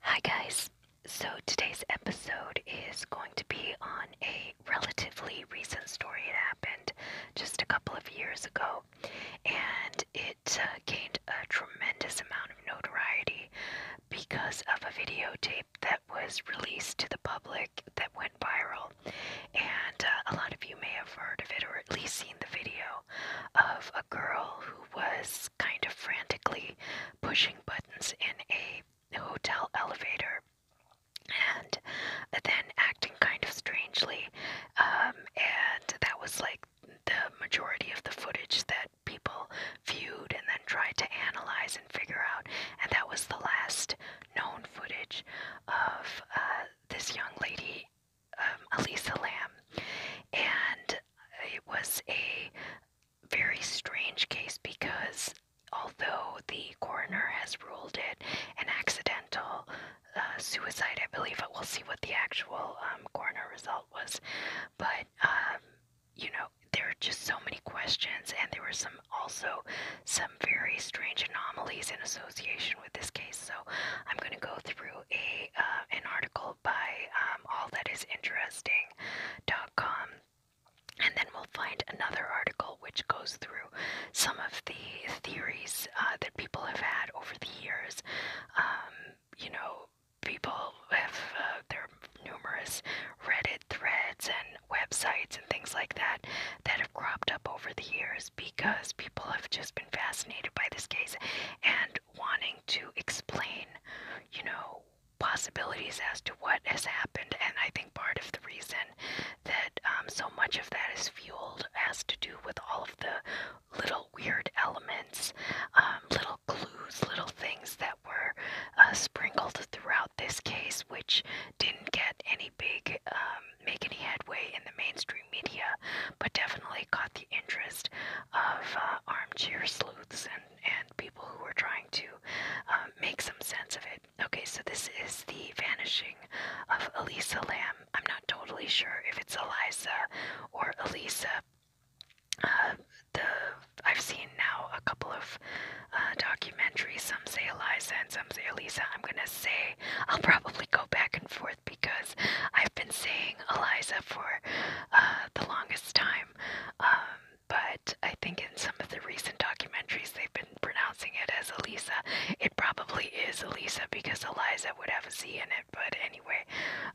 Hi, guys. So, today's episode is going to be on a relatively recent story. It happened just a couple of years ago, and it uh, gained a tremendous amount of notoriety because of a videotape that was released to the public that went viral. And uh, a lot of you may have heard of it or at least seen the video of a girl who was kind of frantically pushing buttons in a hotel elevator and then acting kind of strangely. Um, and that was like the majority of the footage that people viewed and then tried to analyze and figure out. And that was the last known footage of uh, this young lady, Elisa um, Lamb. And it was a very strange case because although the coroner has ruled it an accidental uh, suicide, I believe, but we'll see what the actual um, coroner result was. But, um, you know, there are just so many questions, and there were some also some very strange anomalies in association with this case. So I'm going to go through a uh, an article article by um, allthatisinteresting.com. And then we'll find another article which goes through some of the theories uh, that people have had over the years. Um, you know, people have, uh, there are numerous Reddit threads and websites and things like that that have cropped up over the years because people have just been fascinated by this case and wanting to explain, you know, possibilities as to what has happened, and I think part of the reason that um, so much of that is fueled has to do with all of the little weird elements, um, little clues, little things that were uh, sprinkled throughout this case, which didn't get any big, um, make any headway in the mainstream media, but definitely caught the interest of uh, armchair sleuths and and people who are trying to um, make some sense of it. Okay, so this is the vanishing of Elisa Lamb. I'm not totally sure if it's Eliza or Elisa. Uh, the I've seen now a couple of uh, documentaries. Some say Eliza and some say Elisa. I'm gonna say I'll probably go back and forth because I've been saying Eliza for uh, the longest time, um, but I think in some of the recent documentaries, they've been pronouncing it as Elisa. It probably is Elisa because Eliza would have a Z in it. But anyway,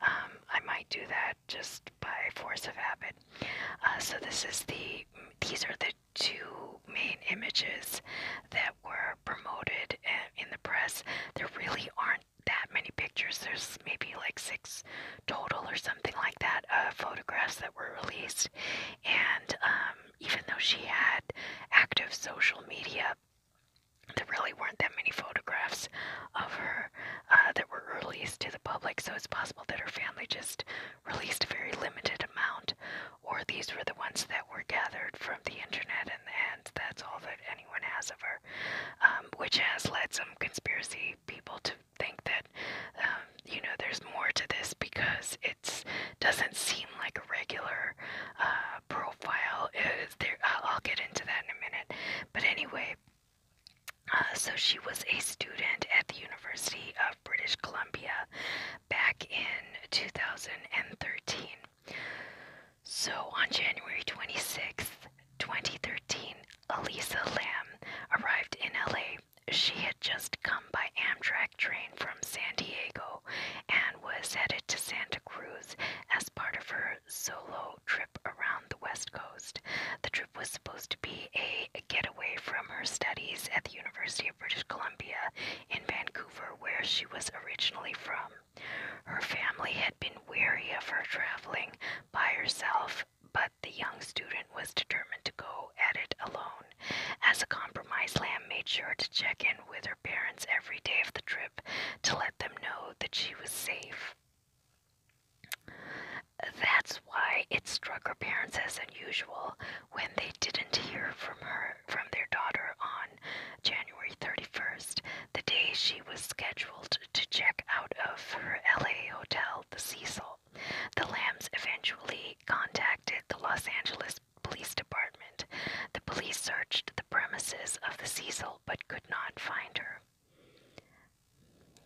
um, I might do that just by force of habit. Uh, so this is the these are the two main images that were promoted eh, in the press. There really aren't that many pictures. There's maybe like six total or something like that photographs that were released. And um, even though she had active social media, there really weren't that many photographs of her uh, that were released to the public. So it's possible that her family just released a very limited amount, or these were the ones that were gathered from the internet, and, that's all that anyone has of her, um, which has led some conspiracy people to think that um, you know there's more to this because it doesn't seem like a regular uh, profile. there? I'll, get into that in a minute. But anyway. Uh, so she was a student at the University of British Columbia back in 2013. So on January 26th, 2013, Elisa Lamb arrived in LA. She had just come by Amtrak train from San Diego and was headed to Santa Cruz as part of her solo trip around the West Coast. The trip was supposed to be a getaway from her studies at the University of British Columbia in Vancouver, where she was originally from. Her family had been wary of her traveling by herself but the young student was determined to go at it alone. As a compromise, Lamb made sure to check in with her parents every day of the trip to let them know that she was safe. That's why it struck her parents as unusual when they didn't hear from her from their daughter on January 31st, the day she was scheduled to check out of her LA hotel, the Cecil. The Lambs eventually contacted the Los Angeles Police Department. The police searched the premises of the Cecil but could not find her.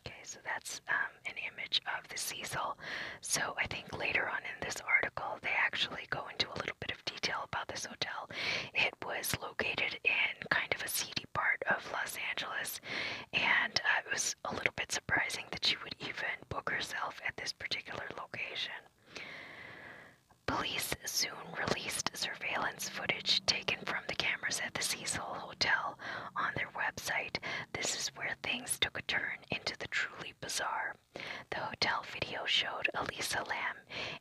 Okay, so that's um, an image of the Cecil. So I think later on in this article, they actually go into a little bit of detail about this hotel. It was located in kind of a seedy part of Los Angeles, and uh, it was a little bit surprising that she would even book herself at this particular location. Police soon released surveillance footage taken from the cameras at the Cecil Hotel on their website. This is where things took a turn into the truly bizarre. The hotel video showed Elisa Lam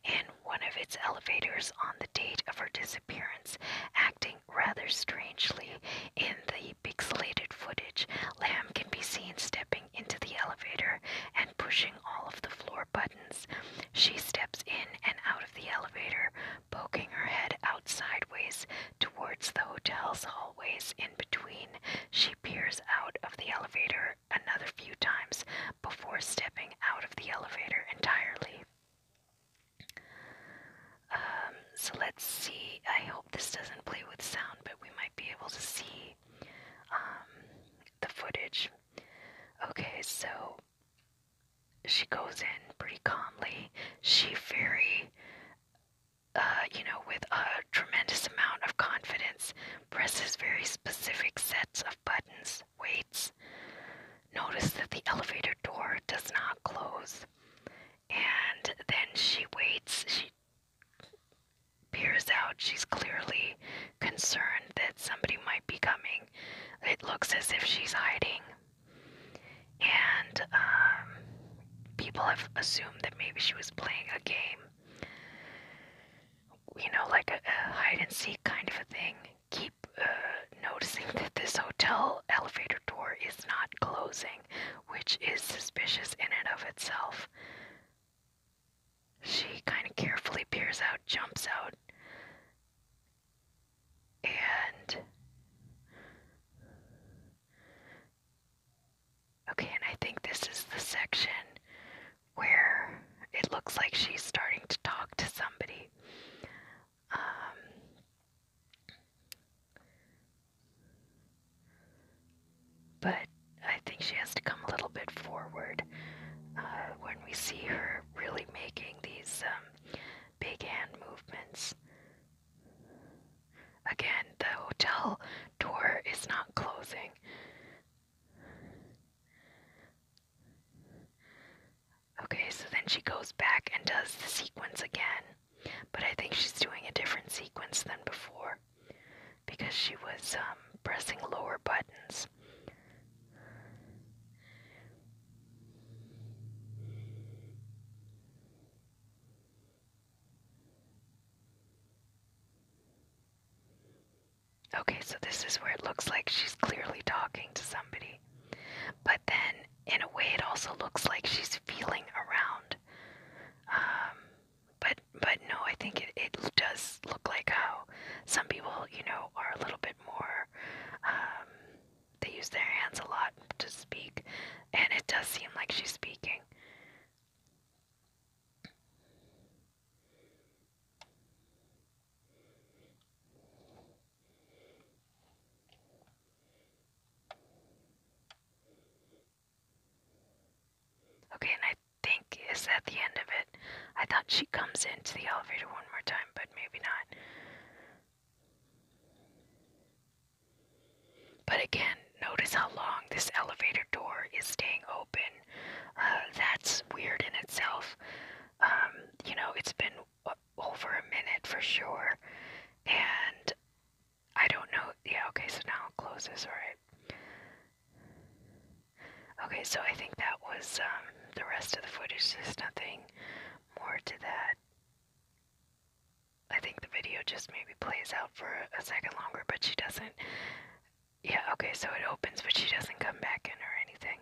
in one of its elevators on the date of her disappearance, acting rather strangely in the pixelated footage. Lamb can be seen stepping into the elevator and pushing all of the floor buttons. She steps in and out of the elevator, poking her head out sideways towards the hotel's hallways in between. She peers out of the elevator another few times before stepping out of the elevator entirely. Um, so let's see. I hope this doesn't play with sound, but we might be able to see um, the footage. Okay, so she goes in pretty calmly. She very, uh, you know, with a tremendous amount of confidence, presses very specific sets of buttons, waits. Notice that the elevator door does not close. And then she waits, she peers out. She's clearly concerned that somebody might be coming. It looks as if she's hiding. And um, people have assumed that maybe she was playing a game. You know, like a hide and seek kind of a thing keep uh, noticing that this hotel elevator door is not closing, which is suspicious in and of itself. She kind of carefully peers out, jumps out, and. Okay, and I think this is the section where it looks like she's starting to talk to somebody. Um, but I think she has to come a little bit forward uh, when we see her really making these um, big hand movements. Again, the hotel door is not closing. Okay, so then she goes back and does the sequence again, but I think she's doing a different sequence than before because she was um, pressing lower buttons. Okay, so this is where it looks like she's clearly talking to somebody. But then, in a way, it also looks like she's feeling around. Um, but but no, I think it, it does look like how some people, you know, are a little bit more. Um, they use their hands a lot to speak, and it does seem like she's speaking. Okay, and I think is that the end of it. I thought she comes into the elevator one more time, but maybe not. But again, notice how long this elevator door is staying open. Uh, that's weird in itself. Um, you know, it's been uh, over a minute for sure. And I don't know. Yeah, okay, so now I'll close this, alright. Okay, so I think that was um, the rest of the footage. There's nothing more to that. I think the video just maybe plays out for a second longer, but she doesn't. Yeah, okay, so it opens, but she doesn't come back in or anything.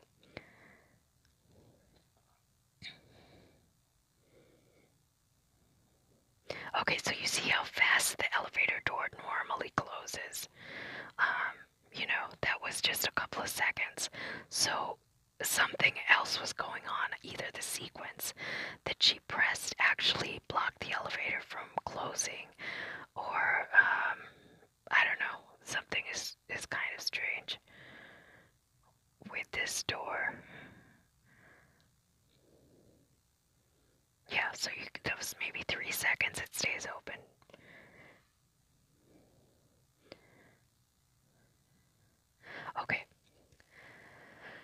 Okay, so you see how fast the elevator door normally closes. Um, you know, that was just a couple of seconds. So something else was going on. Either the sequence that she pressed actually blocked the elevator from closing, or um, I don't know. Something is is kind of strange with this door. Yeah, so that was maybe three seconds it stays open. Okay.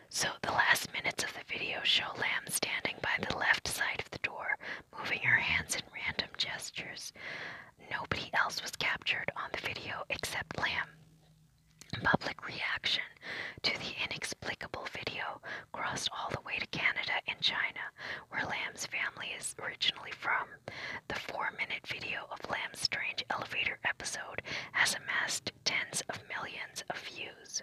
So the last minutes of the video show Lam standing by the left side of the door, moving her hands in random gestures. Nobody else was captured on the video except Lamb. Public reaction to the inexplicable video crossed all the way to Canada and China, where Lamb's family is originally from. The four minute video of Lamb's strange elevator episode has amassed tens of millions of views.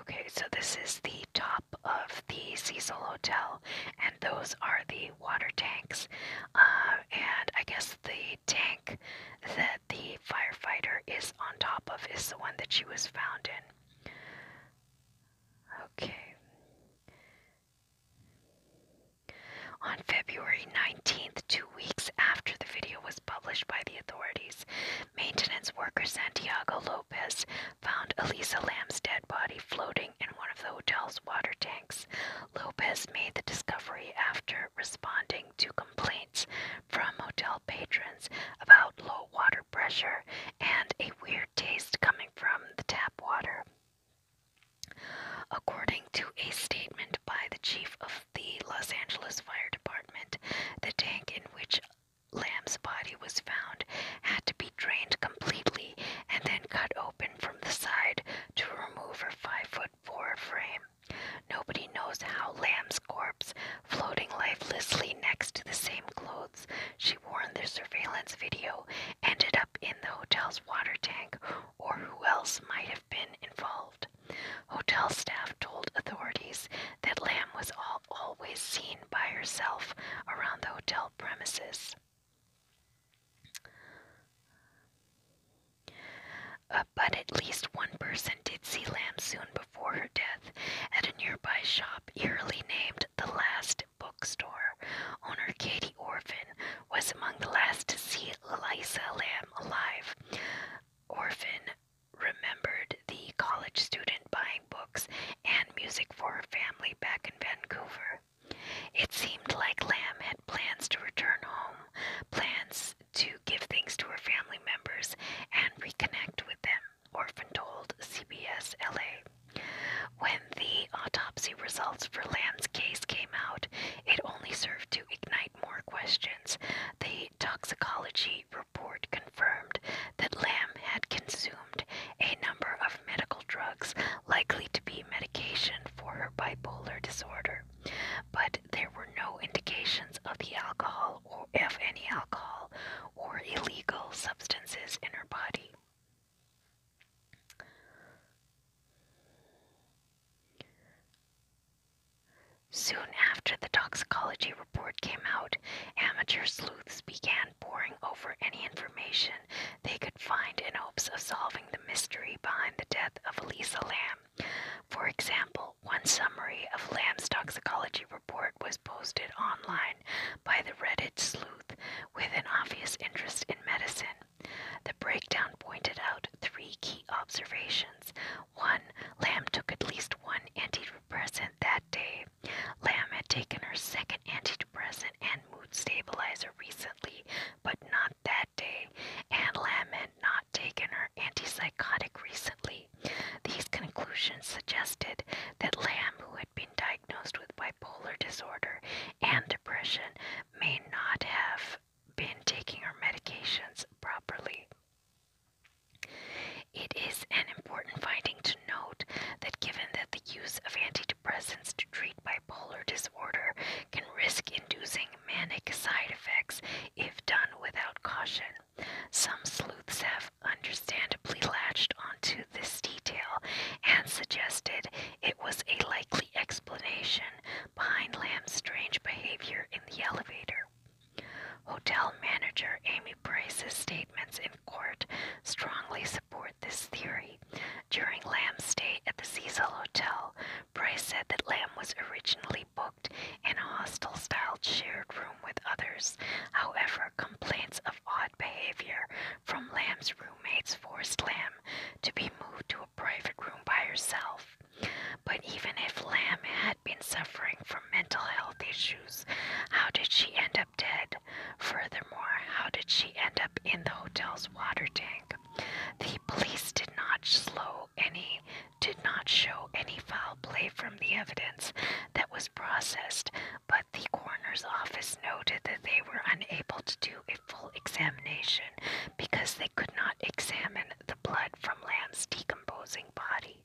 Okay, so this is the top of the Cecil Hotel and those are the water tanks. Uh, and I guess the tank that the firefighter is on top of is the one that she was found in. Okay. On February 19th, two weeks after the video was published by the authorities, maintenance worker Santiago Lopez found Elisa Lamb's dead body floating in one of the hotel's water tanks. Lopez made the discovery after responding to complaints from hotel patrons about low water pressure and a weird taste coming from the tap water. According to a statement by the chief of the Los Angeles Fire Department, the tank in which Lamb's body was found had to be drained completely and then cut open from the side to remove her five foot four frame. Nobody knows how Lamb's corpse, floating lifelessly next to the same clothes she wore in the surveillance video, ended up in the hotel's water tank or who else might have been involved. Hotel staff told authorities that Lamb was all, always seen by herself around the hotel premises. Uh, but at least one person did see Lamb soon before her death at a nearby shop eerily named The Last Bookstore. Owner Katie Orphan was among the last to see Eliza Lamb alive. Orphan remembered the college student buying books and music for her family back in Vancouver. It seemed like Lamb had plans to return home, plans to give things to her family members and reconnect with them, Orphan told CBS LA. When the autopsy results for Lamb's case came out, it only served to ignite more questions. The toxicology report confirmed that Lamb had consumed a number of medical drugs likely to be medication for her bipolar disorder, but there were no indications of the alcohol or of any alcohol or illegal substances in her body. Soon after the toxicology report came out, amateur sleuths began poring over any information they could find in hopes of solving the mystery behind the death of Elisa Lamb. For example, one summary of Lamb's toxicology report was posted online by the Reddit sleuth with an obvious interest in medicine. The breakdown pointed out three key observations. One, Lamb took at least one antidepressant that day. Lamb had taken her second antidepressant antidepressant and mood stabilizer recently, but not that day, and Lamb had not taken her antipsychotic recently. These conclusions suggested that Lamb, who had been diagnosed with bipolar disorder and depression, may not have been taking her medications properly. It is an important finding to note that given that the use of antidepressants antidepressants to treat bipolar disorder can risk inducing manic side effects if done without caution. Some sleuths have understandably latched onto this detail and suggested it was a likely explanation behind Lamb's strange behavior in the elevator. Hotel manager Amy Price's statements in court strongly support this theory. During Lamb's stay at the Cecil Hotel, Price said that Lamb was originally booked in a hostel style shared room with others. However, complaints of odd behavior from Lamb's roommates forced Lamb to be moved to a private room by herself. But even if Lamb had been suffering from mental health issues, how did she end up dead? Further how did she end up in the hotel's water tank? The police did not show any foul play from the evidence that was processed, but the coroner's office noted that they were unable to do a full examination because they could not examine the blood from Lamb's decomposing body.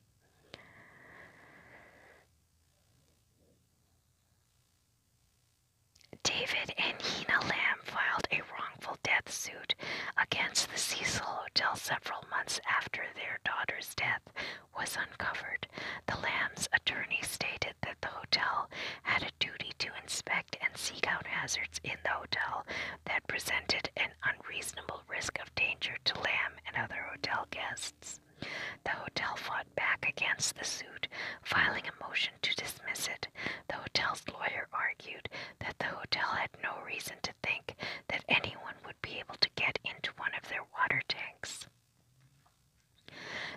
David and Hina Lamb filed a wrongful death suit against the Cecil Hotel several months after their daughter's death was uncovered. The Lambs' attorney stated that the hotel had a duty to inspect and seek out hazards in the hotel that presented an unreasonable risk of danger to Lamb and other hotel guests. The hotel fought back against the suit, filing a motion to dismiss it, the hotel's lawyer argued that the hotel had no reason to think that anyone would be able to get into one of their water tanks.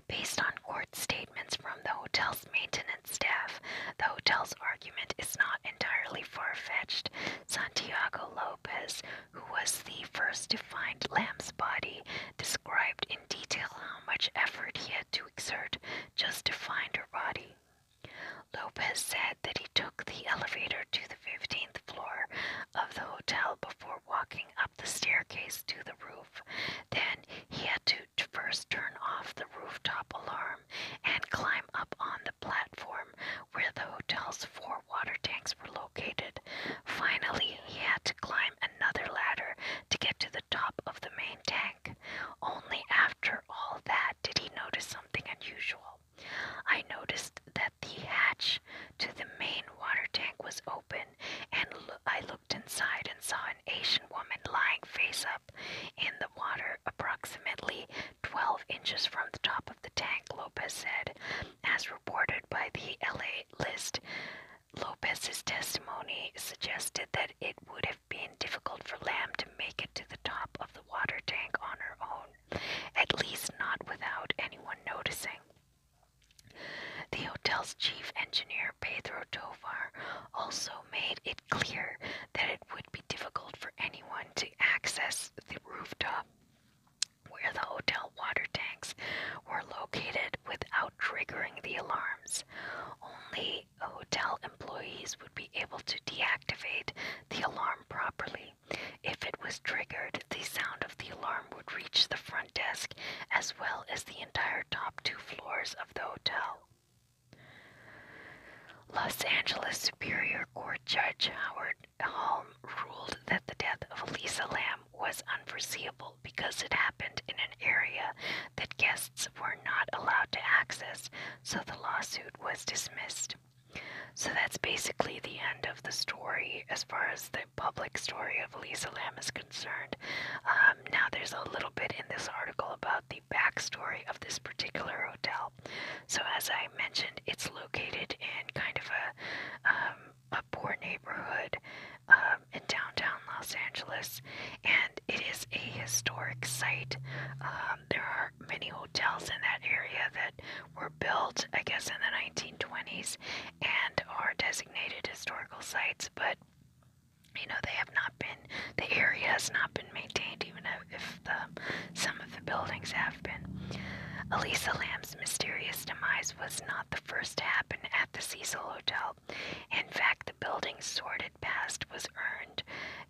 Based on court statements from the hotel's maintenance staff, the hotel's argument is not entirely far fetched. Santiago Lopez, who was the first to find Lamb's body, described in detail how much effort he had to exert just to find her body. Lopez said that he took the elevator to the 15th floor of the hotel before walking up the staircase to the roof. Then he had to first turn off the rooftop alarm and climb up on the platform where the hotel's four water tanks were located. Finally, he had to climb another ladder to get to the top of the main tank. Only after all that did he notice something unusual. I noticed that the hatch to the main water tank was open, and I looked inside and saw an Asian woman lying face up in the water, approximately 12 inches from the top of the tank, Lopez said, as reported by the LA List. Lopez's testimony suggested that it would have been difficult for Lamb to make it to the top of the water tank on her own, at least not without anyone noticing. The hotel's chief engineer, Pedro Tovar, also made it clear that it would be difficult for anyone to access the rooftop where the hotel water tanks were located without triggering the alarms. Only hotel employees would be able to deactivate the alarm properly. If it was triggered, the sound of the alarm would reach the front desk as well as the entire top two floors of the hotel. Los Angeles Superior Court Judge Howard Holm ruled that the death of Elisa Lamb was unforeseeable because it happened in an area that guests were not allowed to access, so the lawsuit was dismissed. So that's basically the end of the story as far as the public story of Lisa Lam is concerned. Um, now, there's a little bit in this article about the backstory of this particular hotel. So, as I mentioned, it's located in kind of a, um, a poor neighborhood. Uh, in downtown Los Angeles, and it is a historic site. Um, there are many hotels in that area that were built, I guess, in the 1920s and are designated historical sites, but you know they have not been the area has not been maintained even if the, some of the buildings have been elisa lamb's mysterious demise was not the first to happen at the cecil hotel in fact, the building's sordid past was earned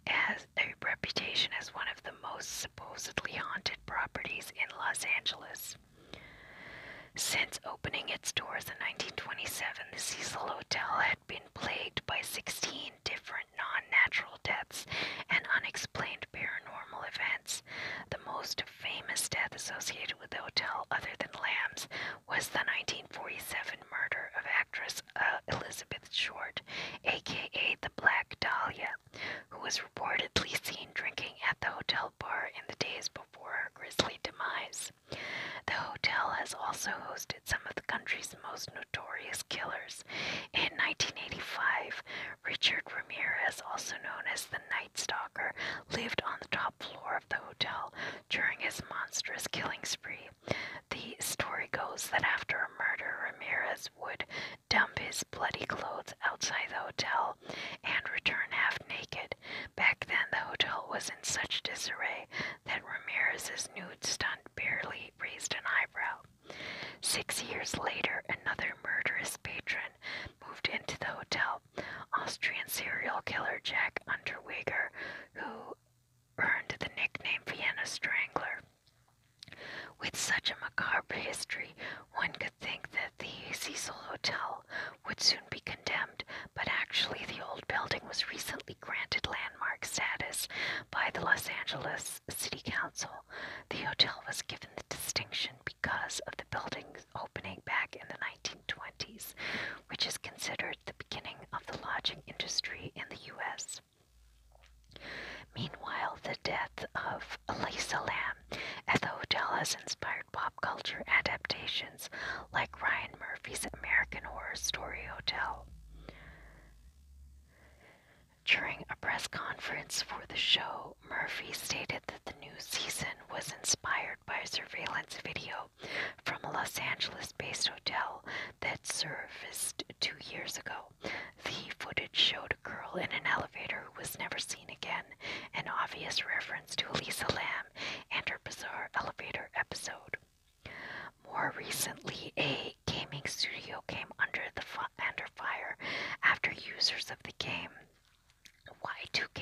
as a reputation as one of the most supposedly haunted properties in Los Angeles. Since opening its doors in 1927, the Cecil Hotel had been plagued by 16 different non natural deaths and unexplained paranormal events. The most famous death associated with the hotel, other than Lamb's, was the 1947 murder of actress uh, Elizabeth Short, aka the Black Dahlia, who was reportedly seen drinking at the hotel bar in the days before her grisly demise. The hotel has also hosted some of the country's most notorious killers. In 1985, Richard Ramirez, also known as the Night Stalker, lived on the top floor of the hotel, during his monstrous killing spree. The story goes that after a murder, Ramirez would dump his bloody clothes outside the hotel and return half naked. Back then, the hotel was in such disarray that Ramirez's nude stunt barely raised an eyebrow. Six years later, another murderous patron moved into the hotel Austrian serial killer Jack Unterweger, who earned the nickname Vienna Strangler. With such a macabre history, one could think that the Cecil Hotel would soon be condemned, but actually, the old building was recently granted landmark status by the Los Angeles City Council. The hotel was given the distinction because of the building's opening back in the 19 which is considered the beginning of the lodging industry in the U.S. Meanwhile, the death of Elisa Lam at the hotel has inspired pop culture adaptations like Ryan Murphy's American Horror Story Hotel. During a press conference for the show, Murphy stated that the new season was inspired by a surveillance video from a Los Angeles based hotel that surfaced two years ago. The footage showed a girl in an elevator who was never seen again, an obvious reference to Elisa Lamb and her bizarre elevator episode. More recently, a gaming studio came under the fire after users of the game Y2K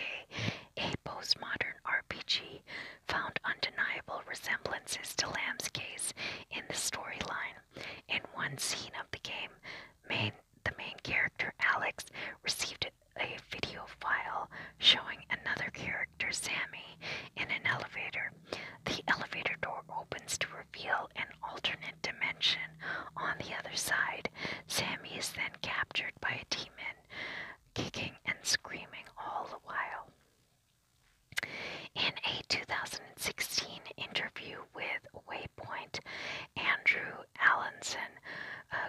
a postmodern RPG, found undeniable resemblances to Lamb's case in the storyline. In one scene of the game, the main character Alex received a video file showing another character, Sammy, in an elevator. The elevator door opens to reveal an alternate dimension on the other side. Sammy is then captured by a demon kicking and screaming all the while. In a 2016 interview with Waypoint, Andrew Allenson,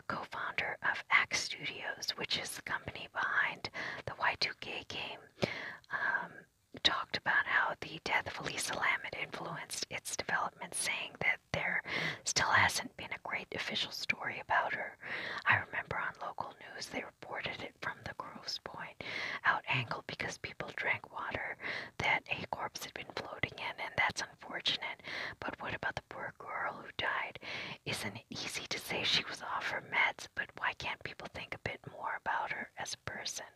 co founder of Ax Studios, which is the company behind the Y2K game, um, talked about how the death of Elisa Lamet influenced its development, saying that there still has has been a great official story about her. I remember on local news they reported it from the Groves Point out angle because people drank water that A Corpse had been floating in, and that's unfortunate. But what about the poor girl who died? Isn't it easy to say she was off her meds, but why can't people think a bit more about her as a person?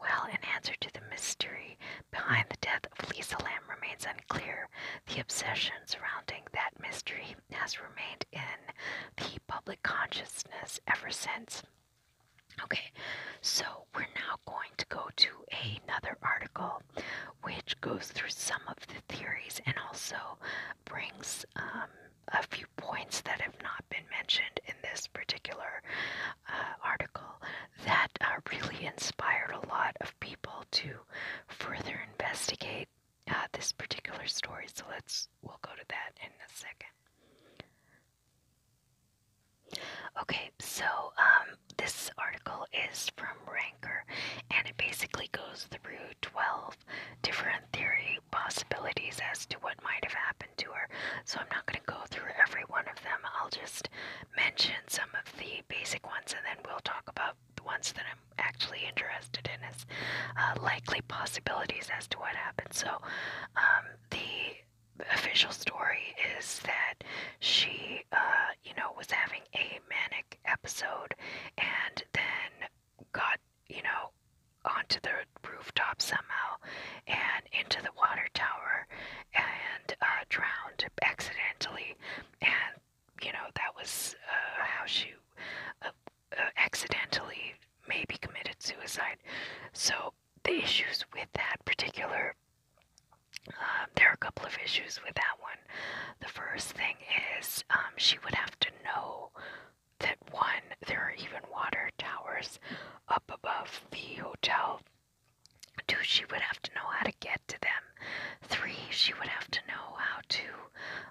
Well, an answer to the mystery behind the death of Lisa Lamb remains unclear. The obsession surrounding that mystery has remained in the public consciousness ever since. Okay, so we're now going to go to another article which goes through some of the theories and also brings um, a few points that have not been mentioned in this particular uh, article that uh, really inspired a lot of people to further investigate uh, this particular story. So let's we'll go to that in a second. Okay, so um, this article is from Ranker, and it basically goes through twelve different theory possibilities as to what might have happened to her. So I'm not going to go through every one of them. I'll just mention some of the basic ones, and then we'll talk about the ones that I'm actually interested in is uh, likely possibilities as to what happened. So um, the official story is that she, uh, you know, was having a manic episode and then got, you know, onto the rooftop somehow and into the water tower and uh, drowned accidentally and you know, that was uh, how she uh, uh, accidentally maybe committed suicide. So the issues with that particular, um, there are a couple of issues with that one. The first thing is um, she would have to know that one, there are even water towers up above the hotel. Two, she would have to know how to get to them. Three, she would have to know how to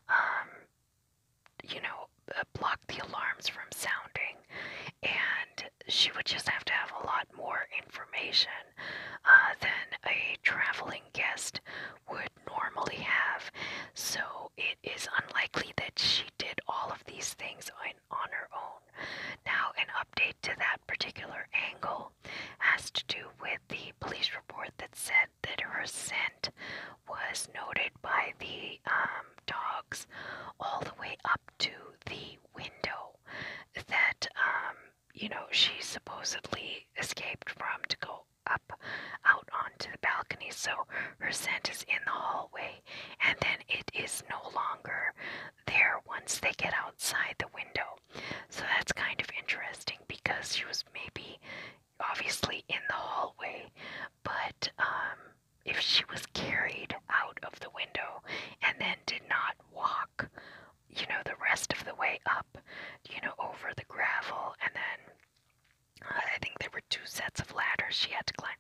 um, you know, uh, block the alarms from sounding, and she would just have to have a lot more information uh, than a traveling guest would normally have. So it is unlikely that she did all of these things on, on her own. Now, an update to that particular angle has to do with the police report that said that her scent was noted by the um, dogs all the way up to the window that um, you know she supposedly escaped from to go up out onto the balcony. So her scent is in the hallway, and then it is no longer there once they get outside the window. So that's kind of interesting because she was maybe obviously in the hallway, but um, if she was carried out of the window and then did not walk, you know, the rest of the way up, you know, over the gravel, and then I think there were two sets of ladders she had to climb.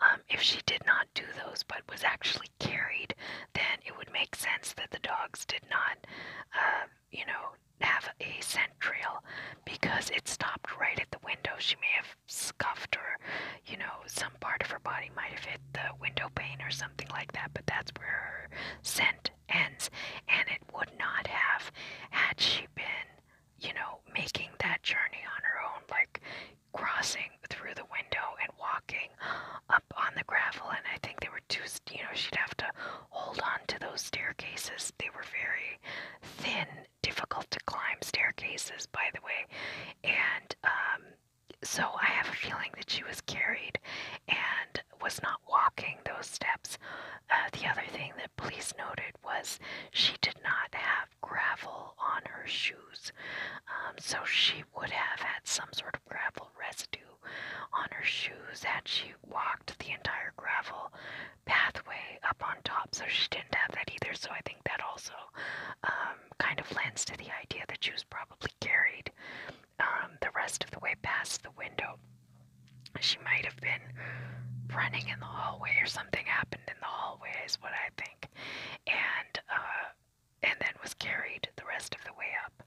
Um, if she did not do those but was actually carried, then it would make sense that the dogs did not, um, you know, have a scent trail because it stopped right at the window. She may have scuffed or, you know, some part of her body might have hit the window pane or something like that, but that's where her scent ends. And it would not have had she been, you know, making that journey on her own, like crossing through the window and walking up on the gravel. And I think they were too, you know, she'd have to hold on to those staircases. They were very thin, difficult to climb staircases, by the way. And um, so I have a feeling that she was carried and was not walking those steps. Uh, the other thing that police noted was she did not have gravel on her shoes. Um, so she would have had some sort of gravel residue on her shoes had she walked the entire gravel pathway up on top, so she didn't have that either. So I think that also um, kind of lends to the idea that she was probably carried um, the rest of the way past the window. She might have been running in the hallway, or something happened in the hallway, is what I think, and uh, and then was carried the rest of the way up.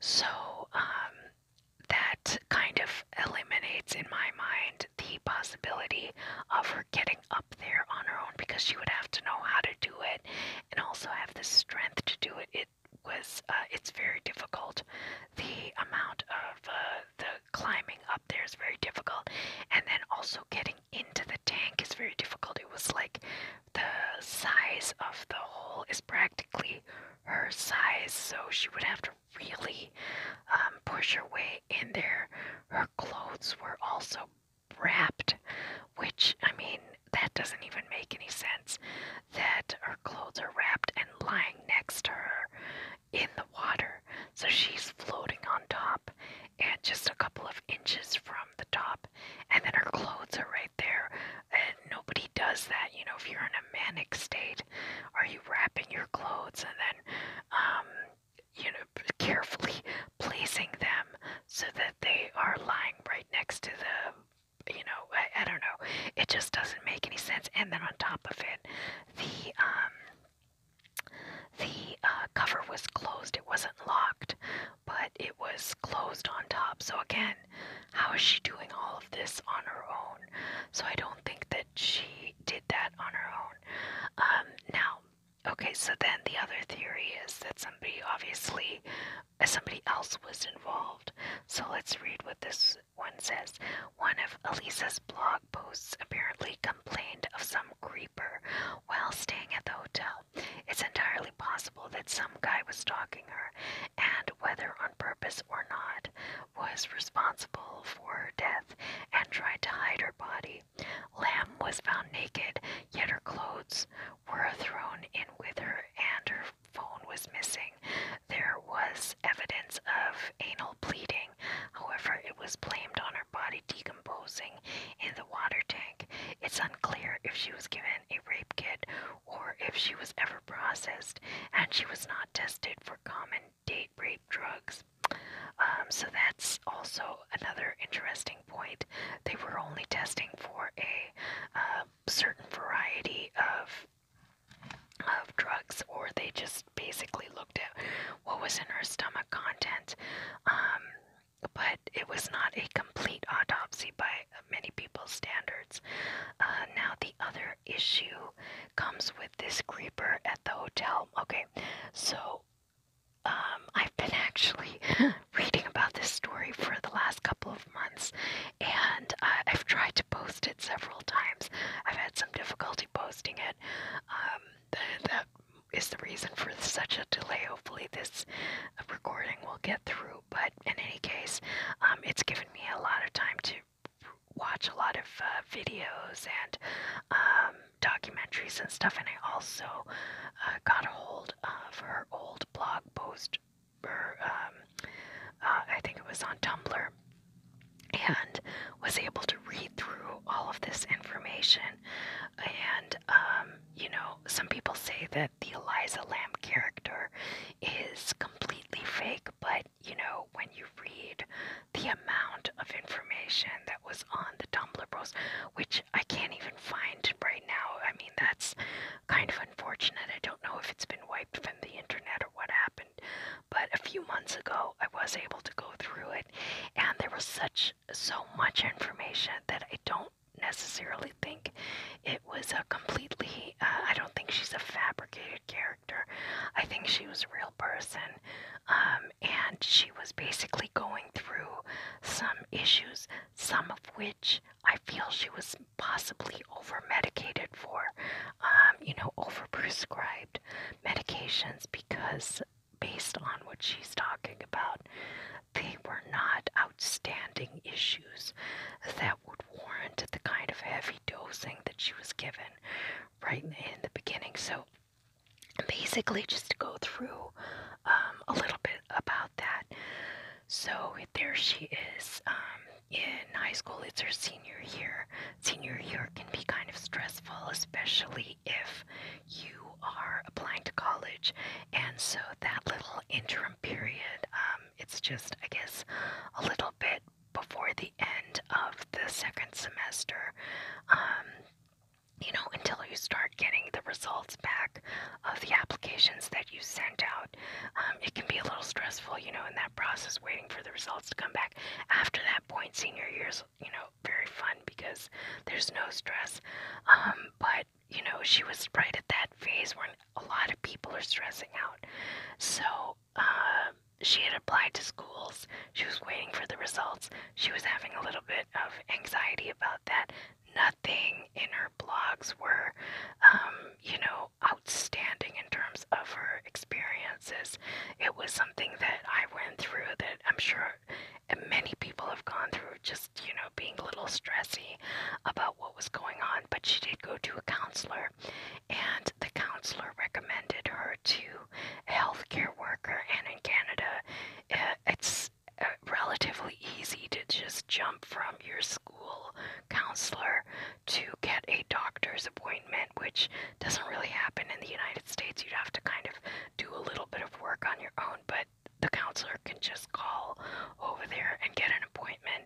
So um, that kind of eliminates in my mind the possibility of her getting up there on her own because she would have to know how to do it and also have the strength to do it. It was uh, it's very difficult. The amount of uh, the climbing up there is very difficult, and then also getting into the tank is very difficult. It was like the size of the hole is practically her size, so she would have to really um, push her way in there. Her clothes were also wrapped, which, I mean, that doesn't even make any sense that her clothes are wrapped and lying next to her in the water. So she's floating on top and just a couple of inches from the top, and then her clothes are right there and nobody does that. You know, if you're in a manic state, are you wrapping your clothes and then, um, you know, carefully placing them so that they are lying right next to the, you know, I, don't know. It just doesn't make any sense. And then on top of it, the, um, the uh, cover was closed. It wasn't locked, but it was closed on top. So again, how is she doing all of this on her own? So I don't think that she did that on her own. Um, now, okay, so then the other theory is that somebody obviously uh, somebody else was involved. So let's read what this one says. One of Elisa's blog posts apparently complained of some creeper while staying at the hotel. It's entirely possible that some guy was stalking her, and whether on purpose or not, was responsible for her death and tried to hide her body. Lamb was found naked, yet her clothes were thrown in with her and her phone was missing. There was evidence of anal bleeding, however, it was blamed on her body decomposing in the water tank. It's unclear if she was given a rape kit or if she was ever processed and she was not tested for common date rape drugs. Um, so that's also another interesting point. They were only testing for a uh, certain variety of of drugs, or they just basically looked at what was in her stomach content. Um, but it was not a complete autopsy by many people's standards. Uh, now, the other issue comes with this creeper at the hotel. Okay, so um, I've been actually reading about this story for the last couple of months, and I've tried to post it several times. I've had some difficulty posting it. Um, that is the reason for such a delay. Hopefully, this recording will get through. But in any case, um, it's given me a lot of time to watch a lot of uh, videos and um, documentaries and stuff, and I also uh, got a hold of her old blog post, or um, uh, I think it was on Tumblr, and was able to read through all of this information. And, um, you know, some people say that the Eliza Lamb character is completely fake, but you know, when you read the amount of information that was on the Tumblr post, which I can't even find right now. I mean, that's kind of unfortunate. I don't know if it's been wiped from the internet or what happened, but a few months ago, I was able to go through it, and there was such so much information that I don't necessarily think it was a completely really, uh, I don't think she's a fabricated character. I think she was a real person. Um, and she was basically going through some issues, some of which I feel she was possibly over medicated for, um, you know, over prescribed medications because based on what she's talking about, they were not outstanding issues that that would warrant the kind of heavy dosing that she was given right in the beginning. So, basically, just to go through um, a little bit about that. So, there she is um, in high school, it's her senior year. Senior year can be kind of stressful, especially if you are applying to college, and so that little interim period, um, it's just, I guess, a little bit before the end of the second semester, um, you know, until you start getting the results back of the applications that you sent out. Um, it can be a little stressful, you know, in that process, waiting for the results to come back. After that point, senior year's, you know, very fun because there's no stress. Um, but, you know, she was right at that phase where a lot of people are stressing out. So um, she had applied to schools. She was waiting for the results. She was having a little bit of anxiety about that. Nothing in her blogs were, um, you know, outstanding in terms of her experiences. It was something that I went through that I'm sure many people have gone through, just, you know, being a little stressy about what was going on. But she did go to a counselor and the counselor recommended her to a healthcare worker. And in Canada, eh, it's eh, relatively easy to just jump from your school counselor to get a doctor's appointment, which doesn't really happen in the United States. You'd have to kind of do a little bit of work on your own, but the counselor can just call over there and get an appointment.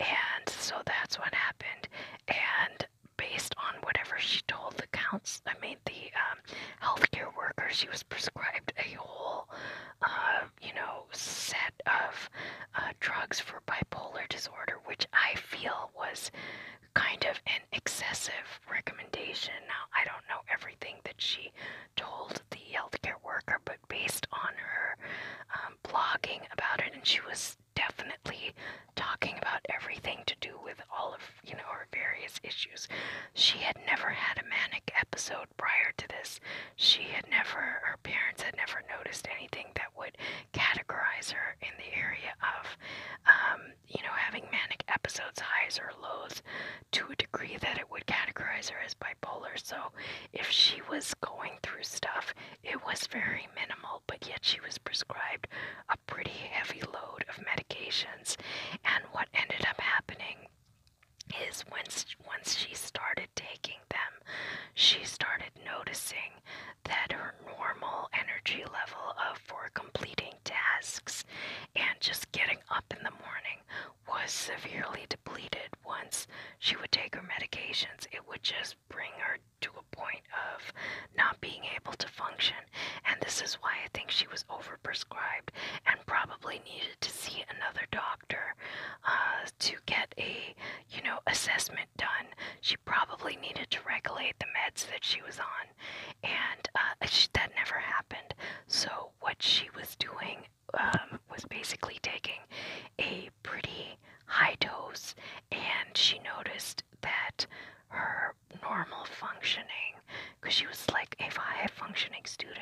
And so that's what happened. And and based on whatever she told the counts, I mean the um, healthcare worker, she was prescribed a whole, uh, you know, set of uh, drugs for bipolar disorder, which I feel was kind of an excessive recommendation. Now I don't know everything that she told the healthcare worker, but based on her um, blogging about it, and she was definitely talking about everything to do with all of, you know, her various issues. She had never had a manic episode prior to this. She had never, her parents had never noticed anything that would categorize her in the area of, um, you know, having manic episodes, highs or lows, to a degree that it would categorize her as bipolar. So if she was going through stuff, it was very minimal, but yet she was prescribed a pretty heavy load of medications. And what ended up happening is once once she started taking them, she started noticing that her normal energy level of for completing tasks and just getting up in the morning was severely depleted once she would take her medications. It would just bring her to a point of not being able to function, and this is why I think she was overprescribed and probably needed to see another doctor uh, to get a you know assessment done. She probably needed to regulate the meds that she was on, and uh, that never happened. So what she was doing um, was basically taking a pretty high dose, and she noticed that her normal functioning, because she was like a high functioning student,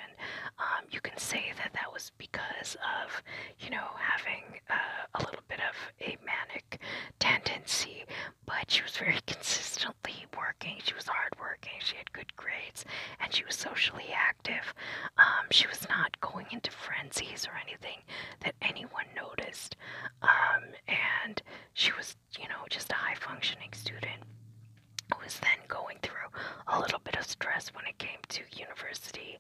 um, you can say that that was because of, you know, having uh, a little bit of a manic tendency, but she was very consistently working. She was hardworking, she had good grades, and she was socially active. Um, she was not going into frenzies or anything that that anyone noticed. Um, and she was, you know, just a high functioning student who was then going through a little bit of stress when it came to university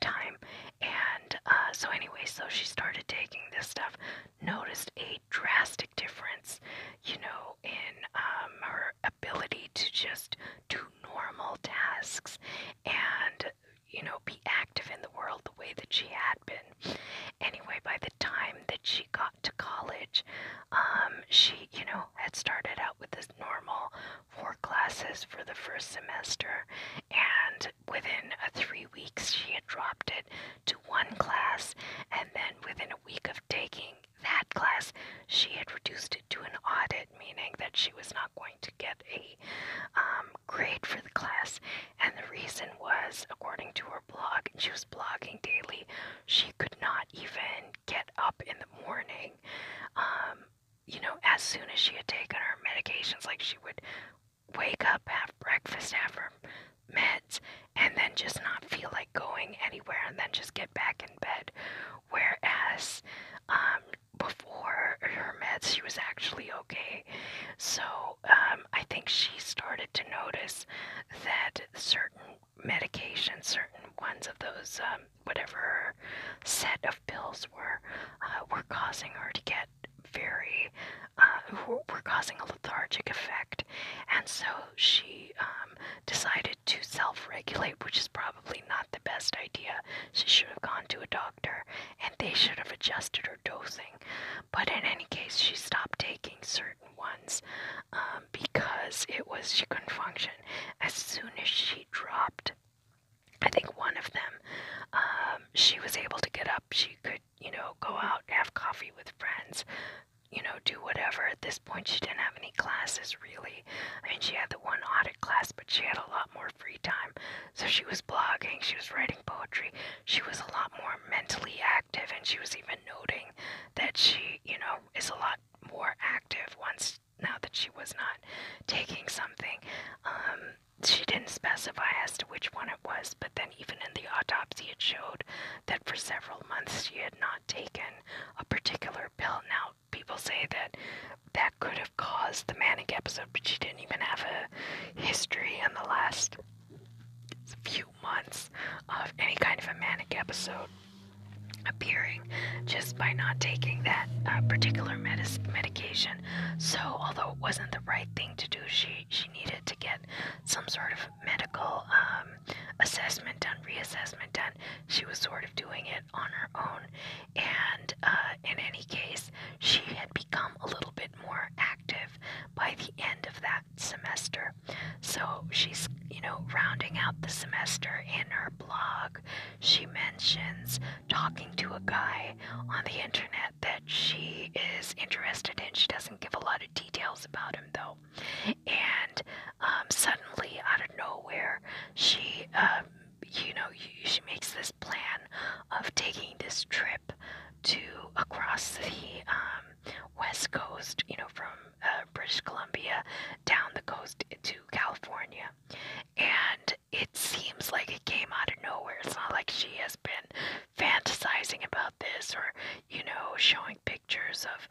time. And uh, so, anyway, so she started taking this stuff, noticed a drastic difference, you know, in um, her ability to just do normal tasks and you know, be active in the world the way that she had been. Anyway, by the time that she got to college, um, she, you know, had started out with this normal four classes for the first semester, and within uh, three weeks, she had dropped it to one class, and then within a week of taking that class, she had reduced it to an audit, meaning that she was not to get a um, grade for the class. And the reason was, according to her blog, she was blogging daily, she could not even get up in the morning. Um, you know, as soon as she had taken her medications, like she would wake up, have breakfast, have her meds, and then just not feel like going anywhere and then just get back in bed. Whereas um, before her meds, she was actually okay. So um, I think she started to notice that certain medications, certain ones of those, um, whatever set of pills were, uh, were causing her to get very, uh, were causing a lethargic effect. And so she um, decided to self regulate, which is probably not the best idea. She should have gone to a doctor and they should have adjusted her dosing. But in any case, she stopped taking certain ones um, because it was she couldn't function. As soon as she dropped, I think one of them, um, she was able to get up. She could, you know, go out, have coffee with friends, you know, do whatever. At this point, she didn't have any classes really. I mean, she had the one audit class, but she had a lot more free time. So she was blogging, she was writing poetry, she was a lot more mentally active, and she was even noting that she, you know, is a lot more active once now that she was not taking something. Um, she didn't specify as to which one it was, but then even in the autopsy, it showed that for several months she had not taken a particular pill. Now, people say that that could have caused the manic episode, but she didn't even have a history in the last few months of any kind of a manic episode appearing just by not taking that uh, particular medis- medication. So, although it wasn't the right thing to do, she, she needed to get some sort of medical um, assessment done, reassessment done. She was sort of doing it on her own, and uh, in any case, she had become a little bit more active by the end of that semester. So she's, you know, rounding out the semester in her blog. She mentions talking to a guy on the internet that she is interested in. She doesn't give a lot of details about him, though. And um, suddenly, out of nowhere, she, um, you know, she makes this plan of taking this trip to across the um, west coast, you know, from uh, British Columbia down the coast to California. And it seems like it came out of nowhere. It's not like she has been fantasizing about this or, you know, showing pictures of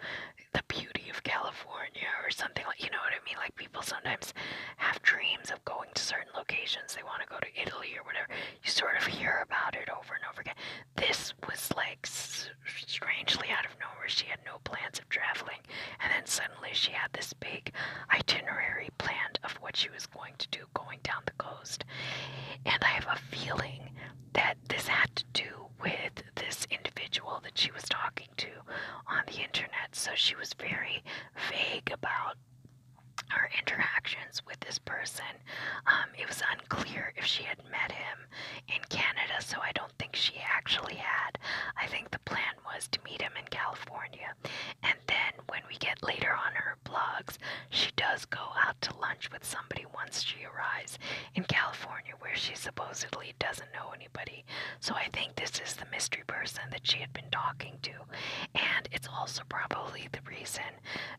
the beauty of California or something like, you know what I mean? Like people sometimes have dreams of going to certain locations. They want to go to Italy or whatever. You sort of hear about it over and over again. This was like strangely out of nowhere. She had no plans of traveling, and then suddenly she had this big itinerary planned of what she was going to do going down the coast. And I have a feeling that this had to do with this individual that she was talking to on the internet. So she was very vague about her interactions with this person. Um, it was unclear if she had met him in Canada, so I don't think she actually had. I think the plan was to meet him in California. And then when we get later on her blogs, she does go out to lunch with somebody once she arrives in California, where she supposedly doesn't know anybody. So I think this is the mystery person that she had been talking to and it's also probably the reason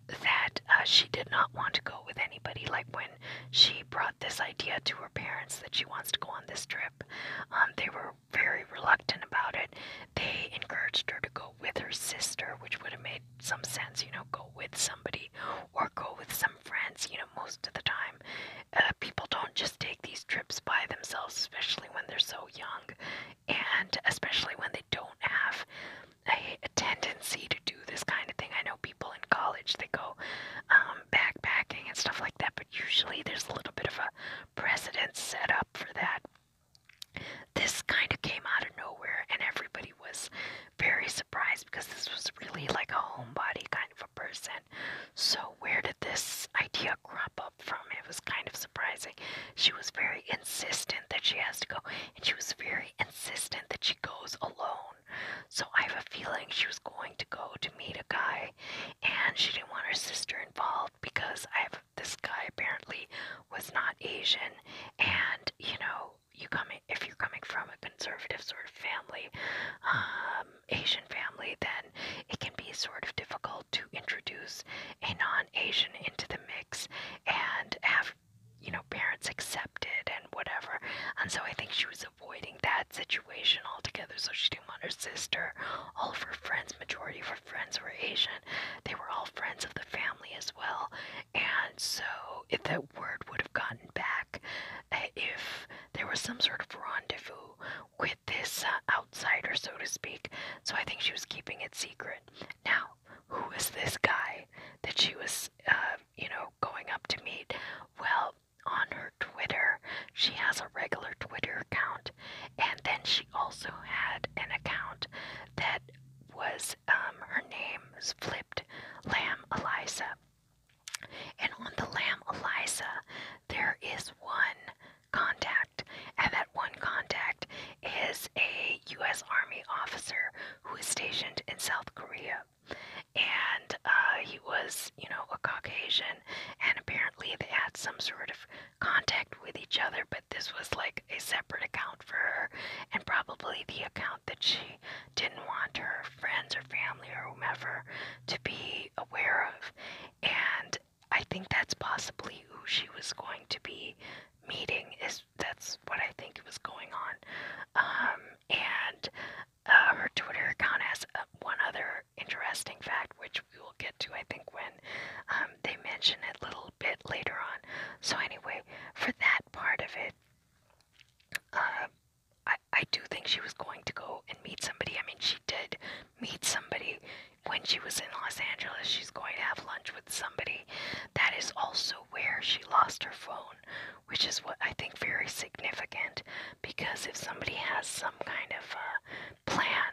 that uh, she did not want to go with anybody. Like when she brought this idea to her parents that she wants to go on this trip, um, they were very reluctant about it. They encouraged her to go with her sister, which would have made some sense, you know, go with somebody or go with some friends. You know, most of the time, uh, people don't just take these trips by themselves, especially when they're so young and especially when they don't have a, a tendency to do this kind of thing. I know people in college they go um, backpacking and stuff like that, but usually there's a little bit of a precedent set up for that. This kind of came out of nowhere, and everybody was very surprised because this was really like a homebody kind of a person. So, where did this idea crop up from. It was kind of surprising. She was very insistent that she has to go, and she was very insistent that she goes alone. So I have a feeling she was going to go to meet a guy, and she didn't want her sister involved because I have this guy apparently was not Asian, and you know you coming if you're coming from a conservative sort of family, um, Asian family, then it can be sort of difficult to introduce a non-Asian into the mix and have you know parents accepted and whatever. And so I think she was avoiding that situation altogether. So she didn't want her sister, all of her friends, majority of her friends were Asian. They were all friends of the family as well. And so if that word would have gotten back, uh, if there was some sort of rendezvous with this uh, outsider, so to speak. So I think she was keeping it secret favorite. Now, who is this guy that she was, uh, you know, going up to meet? Well, on her Twitter, she has a regular Twitter account, and then she also had an account that was um, her name was flipped Lamb Eliza. And on the Lamb Eliza, there is one contact, and that one contact is a U.S. Army officer who is stationed in South Korea. And uh, he was, you know, a Caucasian, and apparently they had some sort of contact with each other, but this was like a separate account for her, and probably the account that she didn't want her friends or family or whomever to be aware of. And I think that's possibly who she was going to be meeting. Is that's what I think was going on. Um, and uh, her Twitter account has uh, one other interesting fact, which we will get to, I think, when um, they mention it a little bit later on. So anyway, for that part of it, um, I I do think she was going to go and meet somebody. I mean, she did meet somebody, when she was in Los Angeles, she's going to have lunch with somebody. That is also where she lost her phone, which is what I think very significant because if somebody has some kind of uh, plan,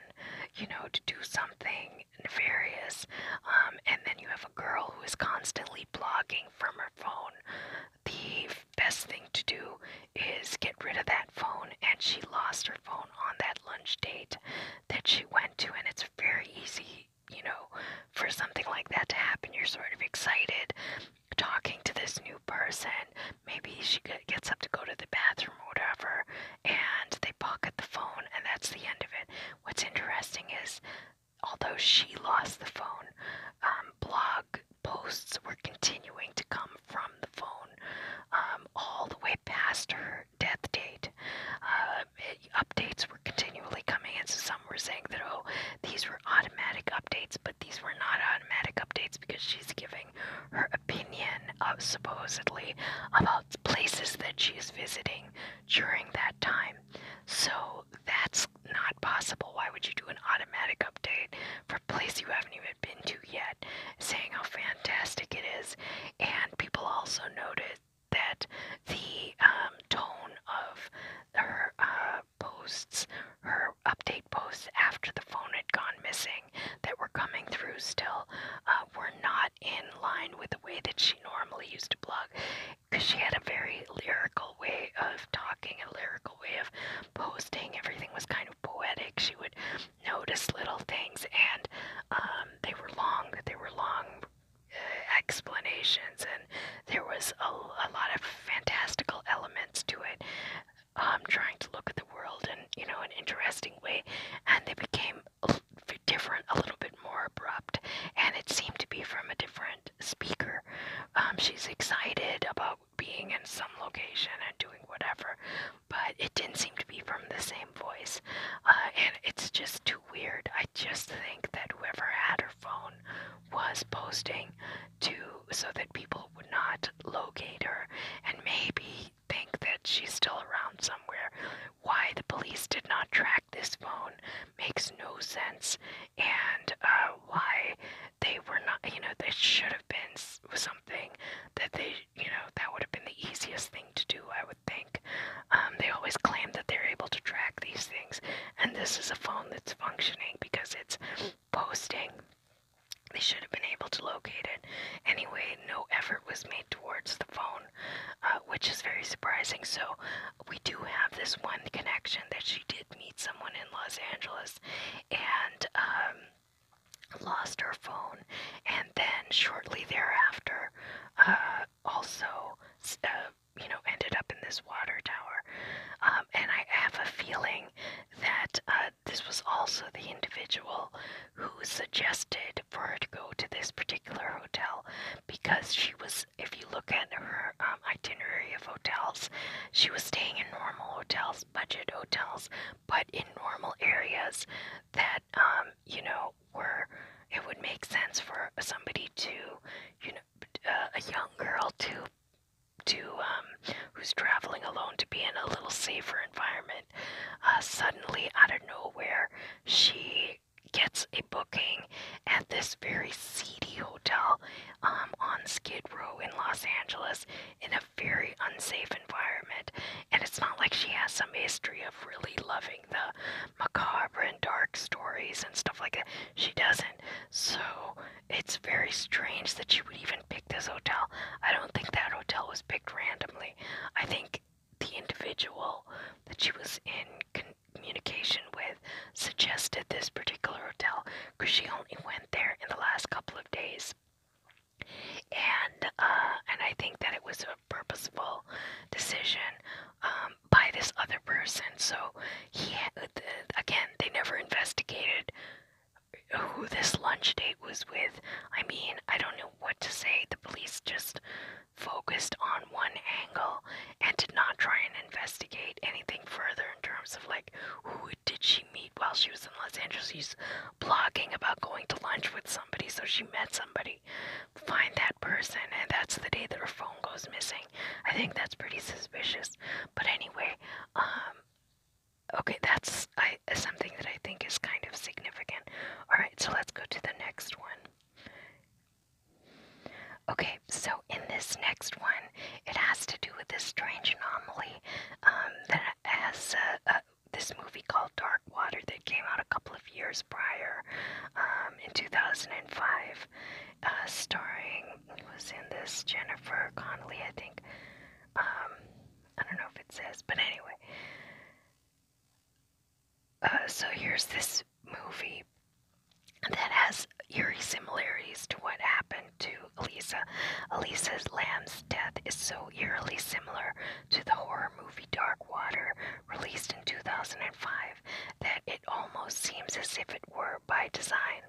you know, to do something nefarious, um, and then you have a girl who is constantly blogging from her phone, the best thing to do is get rid of that phone, and she lost her phone on that lunch date that she went to, and it's very easy, you know, for something like that to happen. You're sort of excited talking to this new person. Maybe she gets up to go to the bathroom or whatever, and they pocket the phone, and that's the end of it. What's interesting is, although she lost the phone, um, blog posts were continuing to come from the phone um, all the way past her death date. Uh, updates were continually coming in, so some were saying that, oh, these were automatic updates, but these were not automatic updates because she's giving her opinion, of uh, supposedly, about places that she's visiting during that time. So that's not possible. Why would you do an automatic update for a place you haven't even been to yet, saying how fantastic it is? And people also noted that the um, tone of her uh, posts, her update posts after the phone had gone missing that were coming through still uh, were not in line with the way that she normally used to blog because she had a very lyrical way of talking, a lyrical way of posting. Everything was kind of poetic. She would noticed little things, and um, they were long. They were long uh, explanations, and there was a, lot of fantastical elements to it. Um, trying to look at the world in you know an interesting way, and they became different, a little bit more abrupt, and it seemed to be from a different speaker. Um, she's excited about being in some location and doing whatever, but it didn't seem to be from the same voice. Uh, and it's just too weird. I just think that whoever had her phone was posting to so that people would not locate her and maybe think that she's still around somewhere. Why the police did not track this phone makes no sense, and uh, why they were not, you know, that should have been something that they you know, that would have been the easiest thing to do, I would think. Um, they always claim that they're able to track these things, and this is a phone that's functioning because it's posting. They should have been able to locate it. Anyway, no effort was made towards the phone, uh, which is very surprising. So, we do have this one connection that she did meet someone in Los Angeles and um, lost her phone, and and then shortly thereafter, uh, also, uh, you know, ended up in this water tower. Um, and I have a feeling that uh, this was also the individual who suggested for her to go to this particular hotel because she was, if you look at her um, itinerary of hotels, she was staying in normal hotels, budget hotels, but in normal areas that um, you know, where it would make sense for somebody to, you know, uh, a young girl to, to, um, who's traveling alone to be in a little safer environment. Uh, suddenly, out of nowhere, she gets a booking at this very seedy hotel um, on Skid Row in Los Angeles in a very unsafe environment. And it's not like she has some history of really loving the macabre and dark stories and stuff like that. She doesn't. So it's very strange that she would even pick this hotel. I don't think that hotel was picked randomly. I think the individual that she was in communication with suggested this particular hotel because she only went there in the last couple of days. And uh, and I think that it was purposeful decision um, by this other person. So he uh, again, they never investigated who this lunch date was with. I mean, I don't know what to say. The police just focused on one angle and did not try and investigate anything further in terms of like who did she meet while she was in Los Angeles. She's blogging about going to lunch with somebody, so she met somebody find that person, and that's the day their phone goes missing. I think that's pretty suspicious. But anyway, um, okay, that's I, something that I think is kind of significant. Alright, so let's go to the next one. Okay, so in this next one, it has to do with this strange anomaly um, that has uh, uh, this movie called Dark Water that came out a couple of years prior, um, in 2005, uh, starring was in this Jennifer Connelly, I think. Um, I don't know if it says, but anyway. Uh, so here's this movie that has eerie similarities to what happened to Elisa. Elisa's lamb's death is so eerily similar to the horror movie Dark Water, released in 2005, that it almost seems as if it were by design.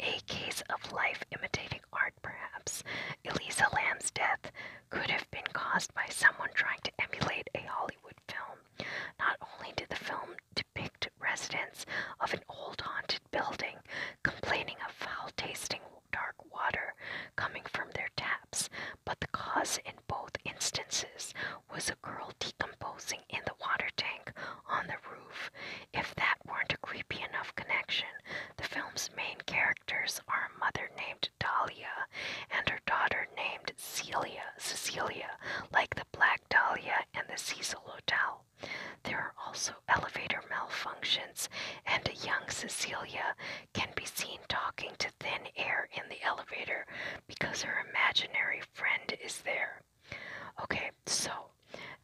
A case of life imitating art, perhaps. Eliza Lamb's death could have been caused by someone trying to emulate a Hollywood film. Not only did the film depict residents of an old haunted building complaining of foul tasting dark water, coming from their taps, but the cause in both instances was a girl decomposing in the water tank on the roof. If that weren't a creepy enough connection, the film's main characters are a mother named Dahlia and her daughter named Celia, Cecilia, like the Black Dahlia and the Cecil Hotel. There are also elevator malfunctions, and a young Cecilia can be seen talking to thin air in the elevator because her imaginary friend is there. Okay, so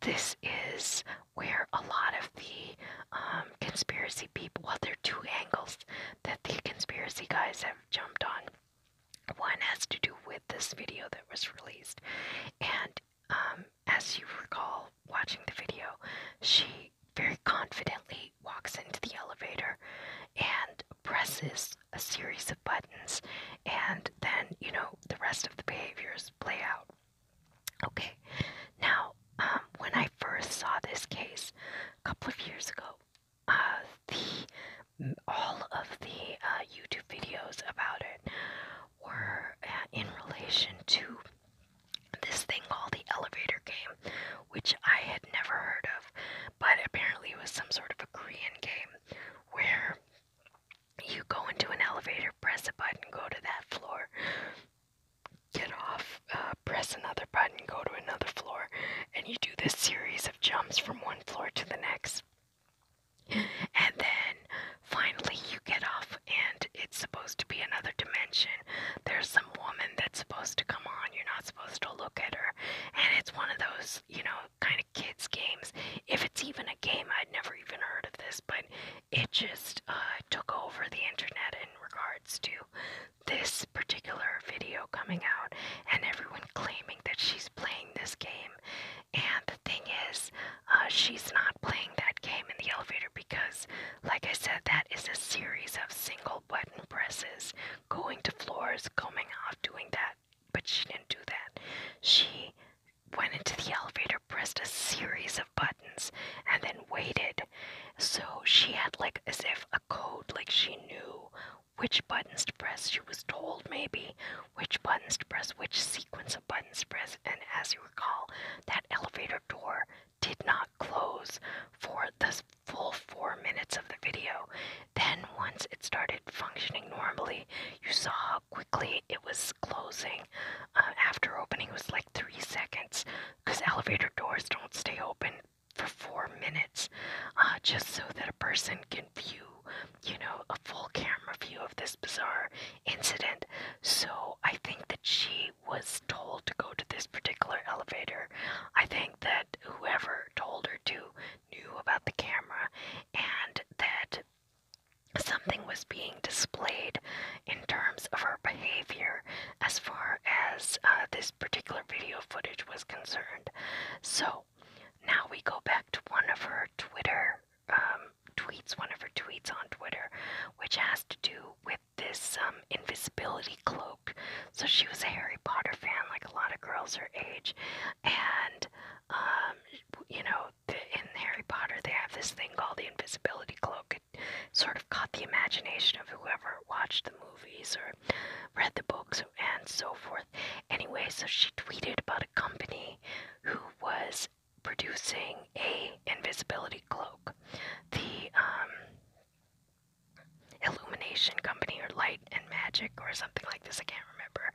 this is where a lot of the um, conspiracy people, well, there are two angles that the conspiracy guys have jumped on. One has to do with this video that was released, and um, as you recall watching the video, she very confidently walks into the elevator and presses a series of buttons, and then, you know, the rest of the behaviors play out. Okay, now, um, when I first saw this case a couple of years ago, uh, the all of the uh, YouTube videos about it were uh, in relation to this thing called the elevator game, which I had never heard of, but apparently it was some sort of a Korean game where you go into an elevator, press a button, go to that floor, get off, uh, press another button, go to another floor, and you do this series of jumps from one floor to the next. And then finally you get off, and it's supposed to be another dimension. There's some some woman that's supposed to come on. You're not supposed to look at her. And it's one of those, you know, kind of kids' games. If it's even a game, I'd never even heard of this, but it just uh, took over the internet in regards to this particular video coming out and everyone claiming that she's playing this game. And the thing is, uh, she's not playing that game in the elevator because, like I said, that is a series of single out button presses, going to floors, coming off, doing that. But she didn't do that. She went into the elevator, pressed a series of buttons, and then waited. So she had like as if a code, like she knew which buttons to press. She was told maybe which buttons to press, which sequence of buttons press. And as you recall, that elevator door did not close for the full four minutes of the video. Then, once it started functioning normally, you saw how quickly it was closing. Uh, after opening, it was like three seconds because elevator doors don't stay open for four minutes uh, just so that a person can view you know a full camera view of this bizarre incident so i think that she was told to go to this particular elevator i think think that whoever told her to knew about the camera and that something was being displayed in terms of her behavior as far as uh, this particular video footage was concerned. So now we go back to one of her Twitter um, tweets, one of her tweets on Twitter, which has to do with this um, invisibility cloak so she was a Harry Potter fan, like a lot of girls her age. And, um, you know, in Harry Potter, they have this thing called the invisibility cloak. It sort of caught the imagination of whoever watched the movies or read the books and so forth. Anyway, so she tweeted about a company who was producing a invisibility cloak. The, um, Illumination Company or Light and Magic or something like this. I can't remember.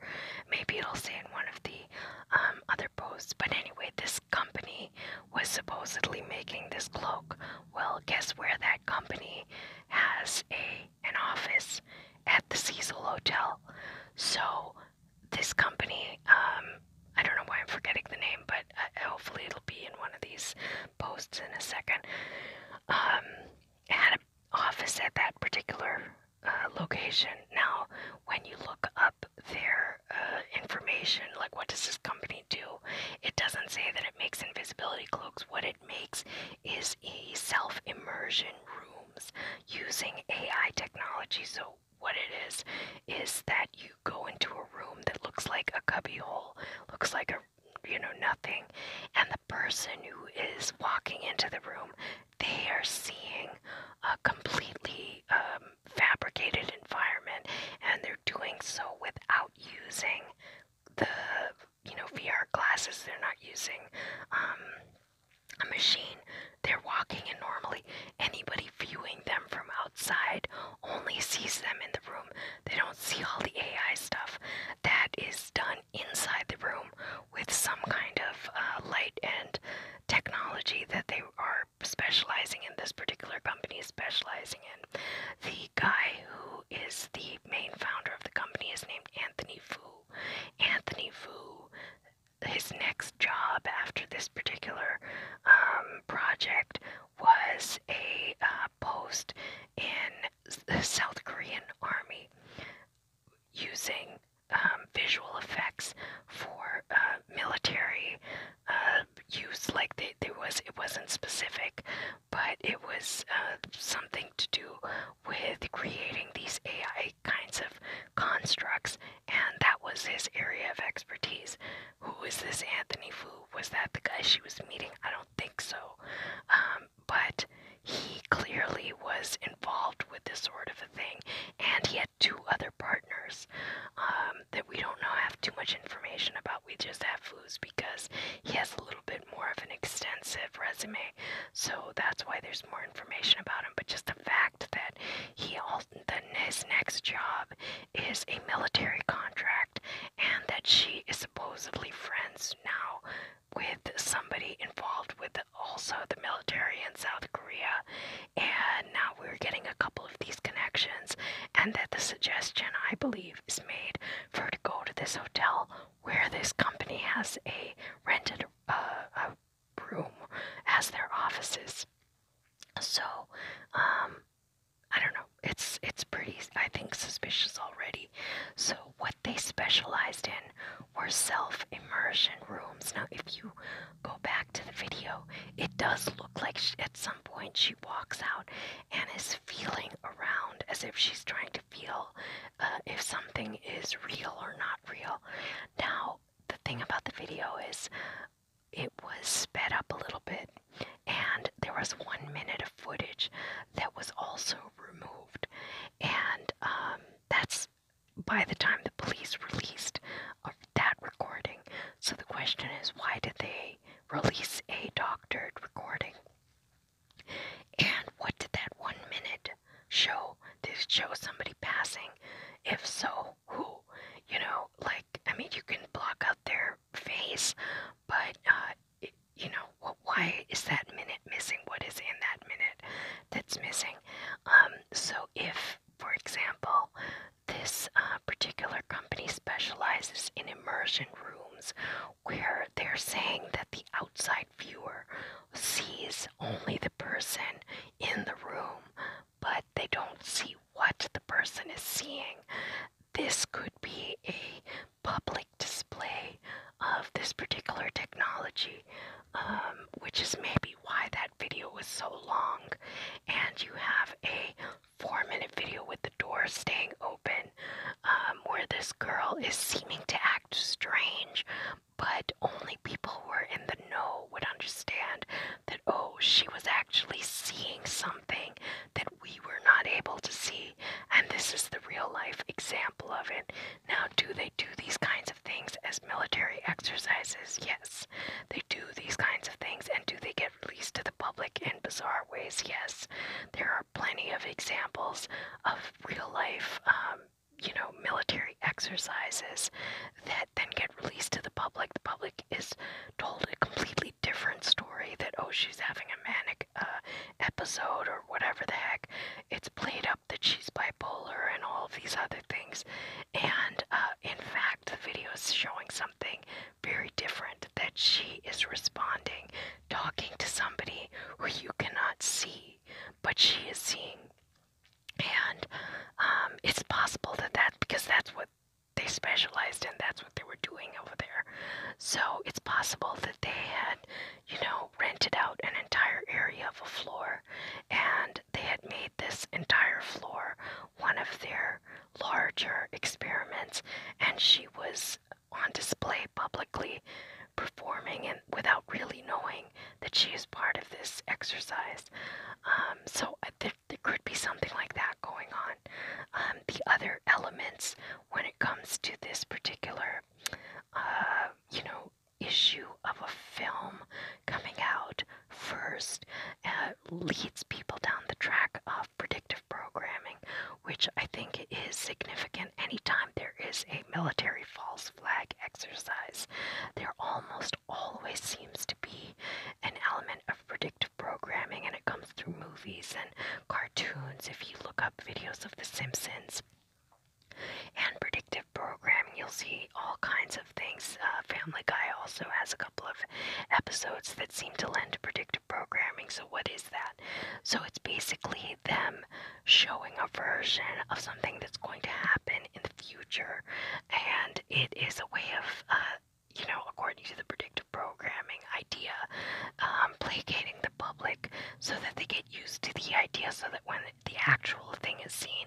Maybe it'll say in one of the um, other posts. But anyway, this company was supposedly making this cloak. Well, guess where that company has a an office at the Cecil Hotel. So this company, um, I don't know why I'm forgetting the name, but uh, hopefully it'll be in one of these posts in a second. Um, had an office at that particular uh, location. Now, when you look up their uh, information, like what does this company do, it doesn't say that it makes invisibility cloaks. What it makes is a self immersion rooms using AI technology. So, what it is, is that you go into a room that looks like a hole, looks like a or you know nothing and the person who is walking into the room they are seeing a completely um, fabricated environment and they're doing so without using the you know vr glasses they're not using um, a machine they're walking in normally anybody viewing them from outside only sees them in the room they don't see all the AI stuff that is done inside the room with some kind of uh, light and technology that they are specializing in. This particular company is specializing in. The guy who is the main founder of the company is named Anthony Fu. Anthony Fu his next job after this particular um, project was a uh, post in the South Korean army using um, visual effects for uh, military uh, use. Like they, there was, it wasn't specific, but it was something to do with creating these AI kinds of constructs, and that was his area of expertise. Who is this Anthony Fu? Was that the guy she was meeting? I don't don't think so. Um, but he clearly was involved with this sort of a thing, and he had two other partners um, that we don't know have too much information about. We just have Foos because he has a little bit more of an extensive resume, so that's why there's more information about him. But just the fact that he all, the, his next job is a military contractor and that she is supposedly friends now with somebody involved with also the military in South Korea. And now we're getting a couple of these connections, and that the suggestion, I believe, is made for her to go to this hotel where this company has a rented uh, a room as their offices. So, um, I don't know. It's it's pretty I think suspicious already. So what they specialized in were self-immersion rooms. Now if you go back to the video, it does look like at some point she walks out and is feeling around as if she's trying to feel uh, if something is real or not real. Now the thing about the video is it was sped up a little bit and there was one minute of footage that was also removed. And um, that's by the time the police released of that recording. So the question is, why did they release a doctored recording? And what did that one minute show? Did it show somebody passing? If so, who? You know, like, I mean, you can block out their face, but uh, you know, why is that minute missing? What is in that minute that's missing? Um, so, if, for example, this uh, particular company specializes in immersion rooms where they're saying that the outside viewer sees only the person in the room, but they don't see what the person is seeing. This could be a public display of this particular technology, um, which is maybe why that video was so long. And you have a four minute video with the door staying open, um, where this girl is seeming to act strange, but only people who are in the know would understand that, oh, she was actually seeing something that we were not able to see, and this is the real life example of it. Now, do they do these kinds of things as military exercises? Yes. They do these kinds of things, and do they get released to the public in bizarre ways? Yes. There are plenty of examples of real life. Um, you know, military exercises that then get released to the public. The public is told a completely different story that, oh, she's having a manic uh, episode or whatever the heck, it's played up that she's bipolar and all of these other things. And uh, in fact, the video is showing something very different that she is responding, talking to somebody who you cannot see, but she is seeing. And um, it's possible that that because that's what they specialized in, that's that's what they were doing over there. So it's possible that they had, you know, rented out an entire area of a floor and they had made this entire floor one of their larger experiments and she was on display publicly performing and without really knowing that she is part of this exercise um, so uh, there, there could be something like that going on um, the other elements when it comes to this particular, uh, you know, issue of a film coming out first uh, leads people down the track of predictive programming, which I think is significant anytime there is a military false flag exercise. There almost always seems to be an element of predictive programming, and it comes comes through movies and cartoons. If you look up videos of The Simpsons and predictive programming, you'll see all kinds of things. Uh, Family Guy also has a couple of episodes that seem to lend to predictive programming. So, what is that? So, it's basically them showing a version of something that's going to happen in the future, and it is a way of, uh, you know, according to the predictive direct programming idea, um, placating the public so that they get used to the idea so that when the actual thing is seen,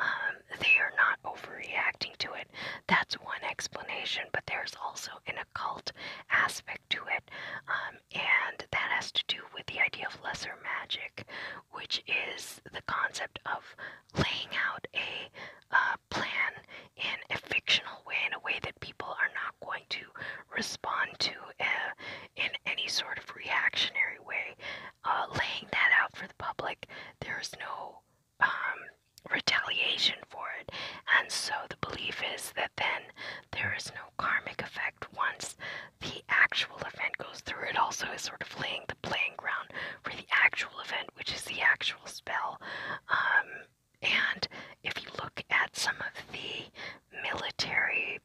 um, they are not overreacting to it. That's one explanation, but there's also an occult aspect to it, um, and that has to do with the idea of lesser magic, which is the concept of laying out a uh, plan in a fictional way, in a way that people are not quite to respond to eh, in any sort of reactionary way. Uh, laying that out for the public, there's no um, retaliation for it. And so the belief is that then there is no karmic effect once the actual event goes through. It also is sort of laying the playing ground for the actual event, which is the actual spell. Um, and if you look at some of the military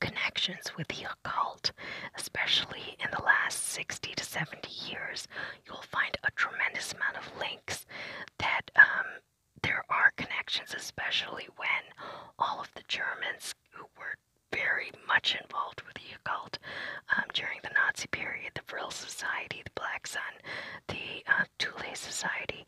connections with the occult, especially in the last 60 to 70 years, you'll find a tremendous amount of links that um, there are connections, especially when all of the Germans who were very much involved with the occult um, during the Nazi period, the Vril Society, the Black Sun the uh, Thule Society,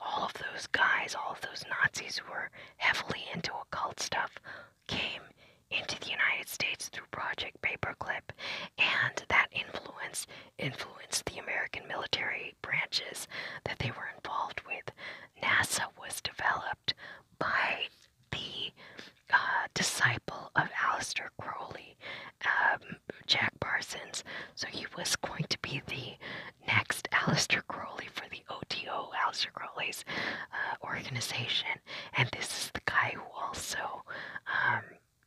all of those guys, all of those Nazis who were heavily into occult stuff, came into the United States through Project Paperclip, and that influence influenced the American military branches that they were involved with. NASA was developed by the uh, disciple of Aleister Crowley, um, Jack Parsons, so he was going to be the next Aleister Crowley for the OTO, Aleister Crowley's uh, organization, and this is the guy who also um,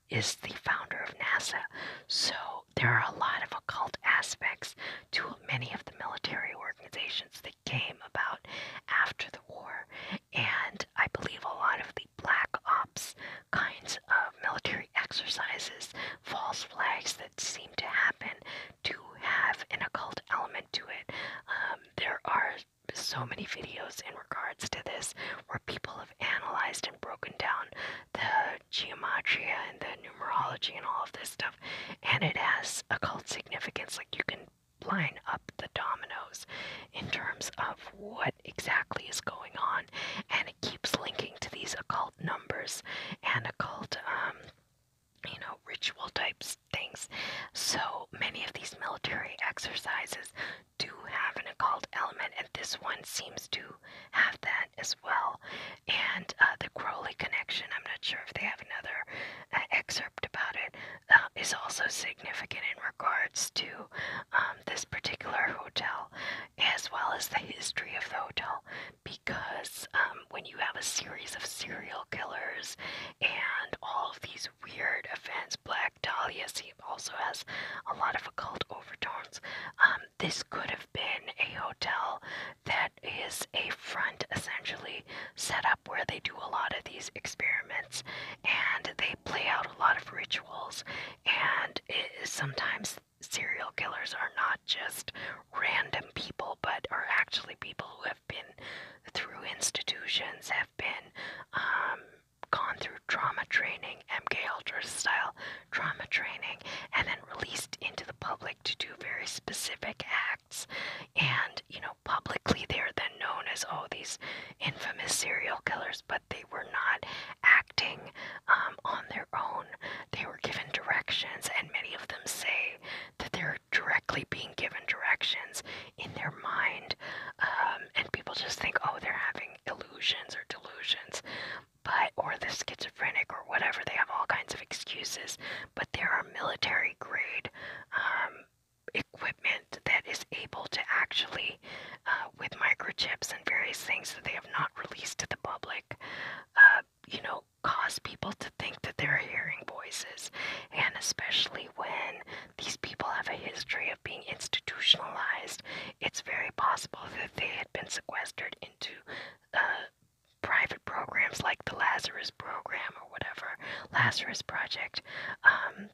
is the founder of NASA. So there are a lot of occult aspects to many of the military organizations that came about after the war, and I believe a lot of the black ops kinds of military exercises, false flags that seem to happen to have an occult element to it. Um, there are so many videos in regards to this where people have analyzed and broken down the geometry and the numerology and all of this stuff, and it has occult significance. Like you can line up the dominoes in terms of what exactly is going on, and keeps linking to these occult numbers and occult, um, you know, ritual types things. So many of these military exercises do have an occult element, and this one seems to have that as well. And uh, the Crowley connection, I'm not sure if they have another uh, excerpt about it—is uh, also significant in regards to um, this particular hotel, as well as the history of the hotel because um, when you have a series of serial killers and all of these weird events, Black Dahlia also has a lot of occult overtones. Um, this could have been a hotel that is a front, essentially, set up where they do a lot of these experiments and they play out a lot of rituals, and it is sometimes serial killers are not just random people, but are actually people who have been through institutions, have been um, gone through trauma training, MK Ultra style trauma training, and then released into the public to do very specific acts. And you know, publicly they are then known as all oh, these infamous serial killers, but they were not acting um, on their own. They were given directions, and many of them say that they're directly being given directions in their mind. Um, and people just think, oh, they're having illusions or delusions, but or the schizophrenic or whatever. They have all kinds of excuses, but there are military grade um, equipment that is able to actually, uh, with microchips and various things that they have not released to the public like uh, you know cause people to think that they're hearing voices and especially when these people have a history of being institutionalized it's very possible that they had been sequestered into uh, private programs like the lazarus program or whatever lazarus project um,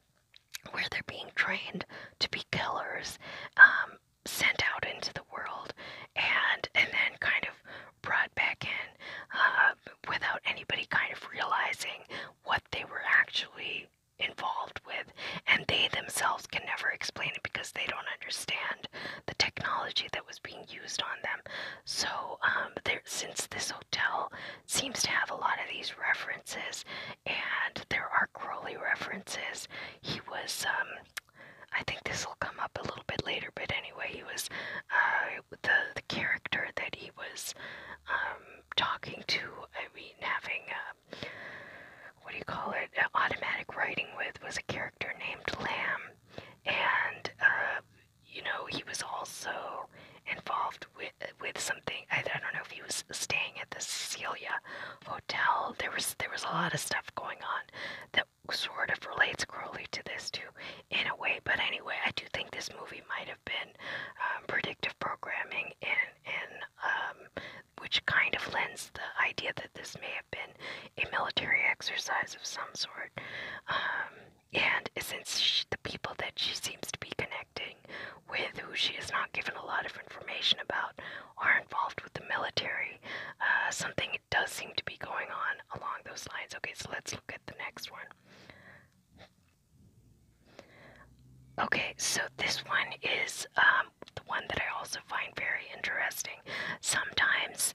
where they're being trained to be killers um, sent out into the world and and then kind of brought back in uh, without anybody kind of realizing what they were actually involved with and they themselves can never explain it because they don't understand the technology that was being used on them so um, there, since this hotel seems to have a lot of these references and there are crowley references he was um, I think this will come up a little bit later, but anyway, he was uh, the the character that he was um, talking to. I mean, having a, uh, what do you call it? Uh, automatic writing with was a character named Lamb, and uh, you know he was also involved with with something. I, I don't know if he was staying at the Cecilia Hotel. There was there was a lot of stuff going on. The sort of relates Crowley to this too, in a way. But anyway, I do think this movie might have been um, predictive programming, and and um, which kind of lends the idea that this may have been a military exercise of some sort. Um, and since she, the people that she seems to be connecting with, who she is not given a lot of information about, are involved with the military, uh, something does seem to be going on along those lines. Okay, so let's look at the next one. Okay, so this one is um, the one that I also find very interesting. Sometimes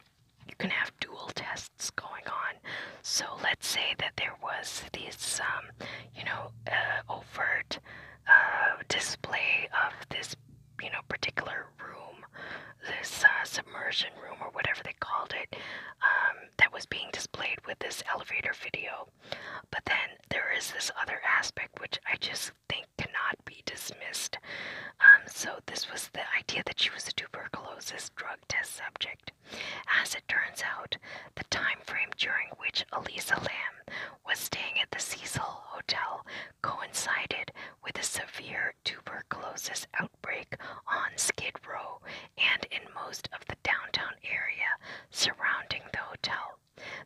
you can have dual tests going on. So let's say that there was this, um, you know, uh, overt uh, display of this you know particular room, this uh, submersion room or whatever they called it, um, that was being displayed with this elevator video. But then there is this other aspect which I just think cannot be dismissed. Um, so this was the idea that she was a tuberculosis drug test subject. As it turns out, the time frame during which Elisa Lamb was staying at the Cecil Hotel coincided with a severe tuberculosis outbreak on Skid Row and in most of the downtown area surrounding the hotel.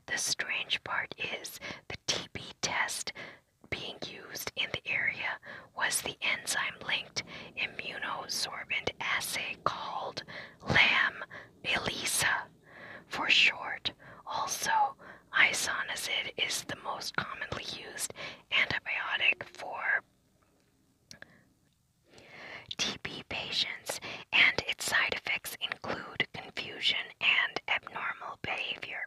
The strange part is the TB test being used in the area was the enzyme linked immunosorbent assay called LAM ELISA for short. Also, isoniazid is the most commonly used antibiotic for TB patients, and its side effects include confusion and abnormal behavior.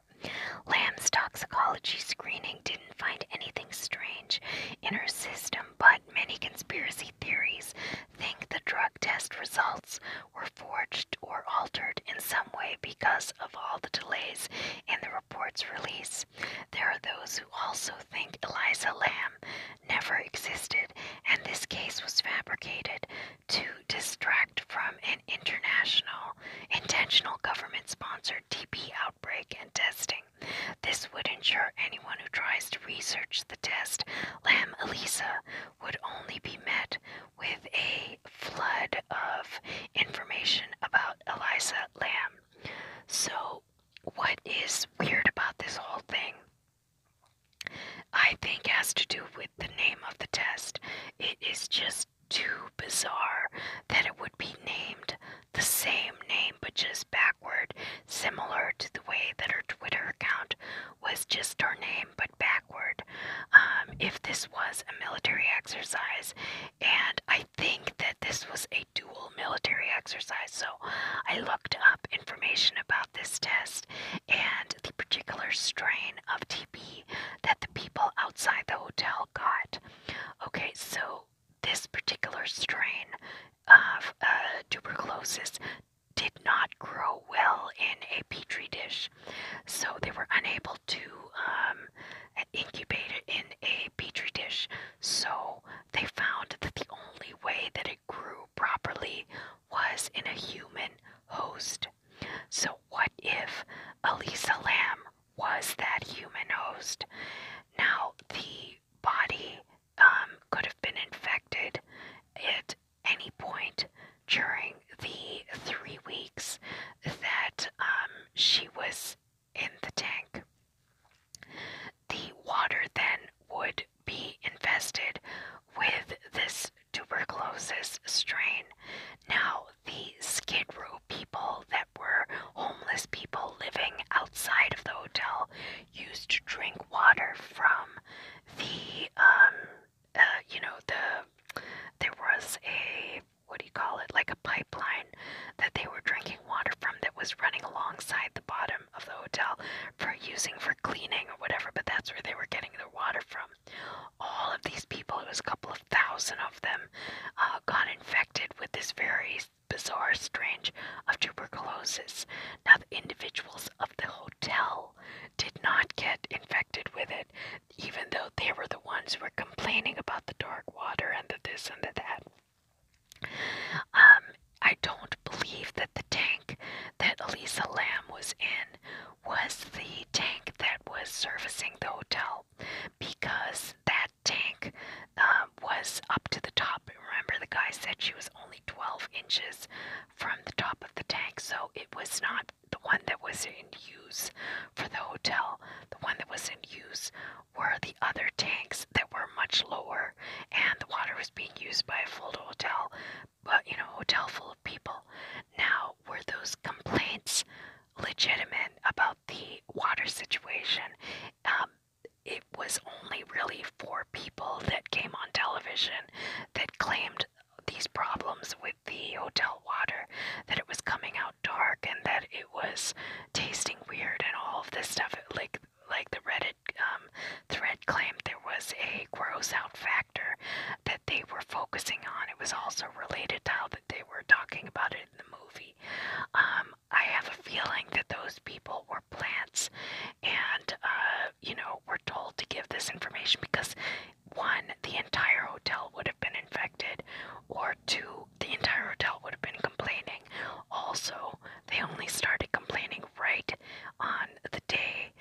Lamb's toxicology screening didn't find anything strange in her system, but many conspiracy theories think the drug test results were forged or altered in some way because of all the delays in the report's release. There are those who also think Eliza Lamb never existed and this case was fabricated to distract from an international, intentional government sponsored TB outbreak and testing. This would ensure anyone who tries to research the test, Lamb Eliza would only be met with a flood of information about Eliza Lamb. So, what is weird about this whole thing? I think has to do with the name of the test. It is just too bizarre that it would be named the same name but just backward, similar to the way that her Twitter account was just her name but backward um, if this was a military exercise. And I think that this was a dual military exercise. So I looked up information about this test and the particular strain of TB that the people outside the hotel got. Okay, so this particular strain of uh, tuberculosis did not grow well in a petri dish. So they were unable to um, incubate it in a petri dish. So they found that the only way that it grew properly was in a human host. So what if Elisa Lamb was that human host? Now the body um, could have been infected at any point during the three weeks that um, she was in the tank. The water then would be infested with this tuberculosis strain. Now, the Skid Row people that were homeless people living outside of the hotel used to drink water from the, um, uh, you know, the, there was a what do you call it, like a pipeline that they were drinking water from that was running alongside the bottom of the hotel for using for cleaning or whatever, but that's where they were getting their water from. All of these people, it was a couple of thousand of them, uh, got infected with this very bizarre strange of tuberculosis. Now, the individuals of the hotel did not get infected with it even though they were the ones who were complaining about the dark water and the this and the that. Um, I don't believe that the tank that Elisa Lamb was in was the tank that was servicing the hotel because that tank um, was up to the top. Remember, the guy said she was only 12 inches from the top of the tank, so it was not the one that was in use for the hotel, the one that was in use were the other tanks that were much lower, and the water was being used by a full hotel, but you know, hotel full of people. Now, were those complaints legitimate about the water situation? Um, it was only really for people that came on television that claimed these problems with the hotel water that it was coming out dark and that it was tasting weird and all of this stuff. like like the Reddit um, thread claimed, there was a gross out factor that they were focusing on. It was also related to how that they were talking about it in the movie. Um, I have a feeling that those people were plants, and uh, you know, were told to give this information because one, the entire hotel would have been infected, or two, the entire hotel would have been complaining. Also, they only started complaining right on the day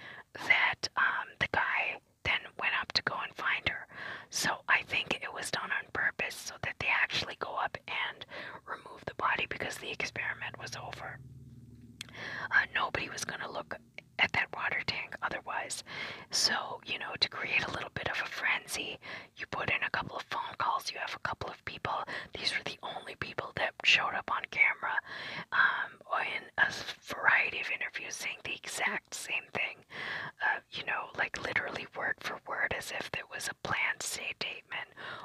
that um, the guy then went up to go and find her. So I think it was done on purpose so that they actually go up and remove the body because the experiment was over. Uh, nobody was going to look at that water tank otherwise. So, you know, to create a little bit of a frenzy, you put in a couple of phone calls, you have a couple of people. These were the only people that showed up on camera um, in a variety of interviews saying the exact same thing. Uh, you know, like literally word for word, as if it was a planned statement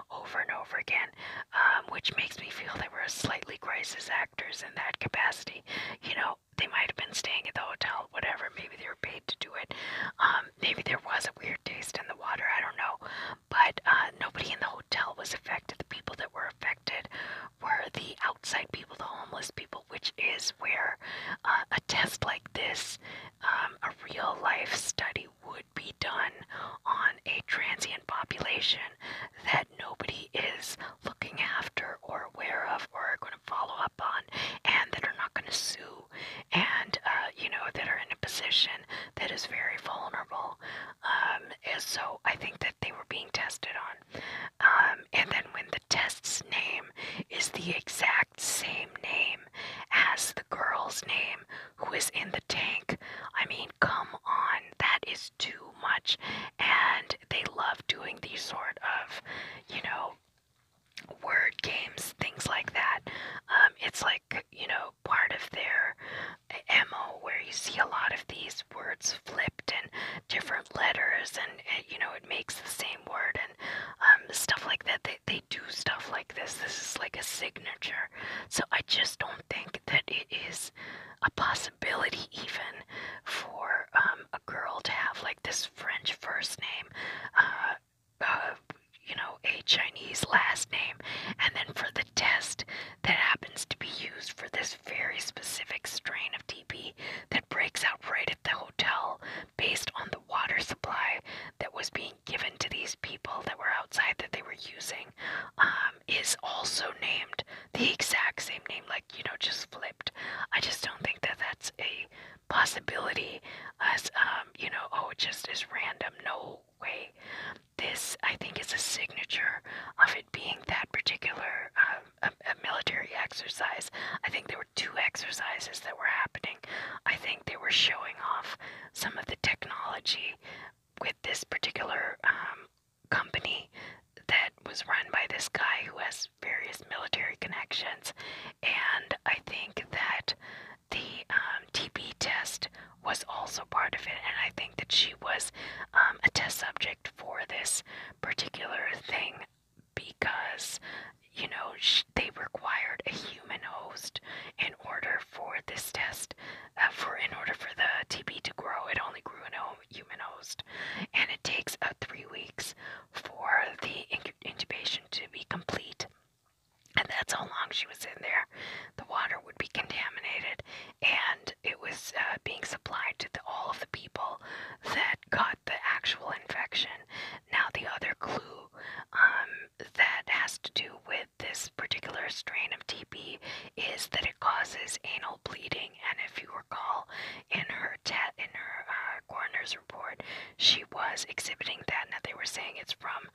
over and over again, um, which makes me feel they were slightly crisis actors in that capacity. You know, they might have been staying at the hotel, whatever. Maybe they were paid to do it. Um, maybe there was a weird taste in the water. I don't know. But uh, nobody in the hotel was affected. The people that were affected were the outside people, the homeless people, which is where uh, a test like this, um, a real life study, would be done on a transient population that nobody is looking after or aware of or going to going to follow up on and that are not going to sue and, uh, you know, that are in a position that is very vulnerable. Um, and so I think that they were being tested on. Um, and then when the test's name is the exact same name as the girl's name who is in the tank, I mean, come on, that is too much. And they love doing these sort of, you know, word games, things like that. Um, it's like, you know, part of their eh, MO where you see a lot of these words flipped and different letters, and, and eh, you know, it makes the same word and um, stuff like that. They, they do stuff like this. This is like a signature. So I just don't think that it is a possibility, even for um, a girl to have like this French first name, uh, uh, you know, a Chinese last name, and then for the test that happens to be used for this very specific strain of TB that breaks out right at the hotel based on the water supply that was being given to these people that were outside that they were using um, is also named the exact same name, like, you know, just flipped. I just don't think that that's a possibility as um, you know, oh, just as random. No way. This, I think, is a signature of it being that particular um, a, military exercise. I think there were two exercises that were happening. I think they were showing off some of the technology with this particular um, company that was run by this guy who has various military connections, and I think that the um, TB test was also part of it, and I think that she was um, a test subject for this particular thing because you know they required a human host in order for this test uh, for in order for the TB to grow it only grew in a human host and it takes uh, three weeks for the incubation to be complete. And that's how long she was in there. The water would be contaminated, and it was uh, being supplied to all of the people that got the actual infection. Now, the other clue um, that has to do with this particular strain of TB is that it causes anal bleeding. And if you recall, in her her death in her uh, coroner's report, she was exhibiting that. Now they were saying it's from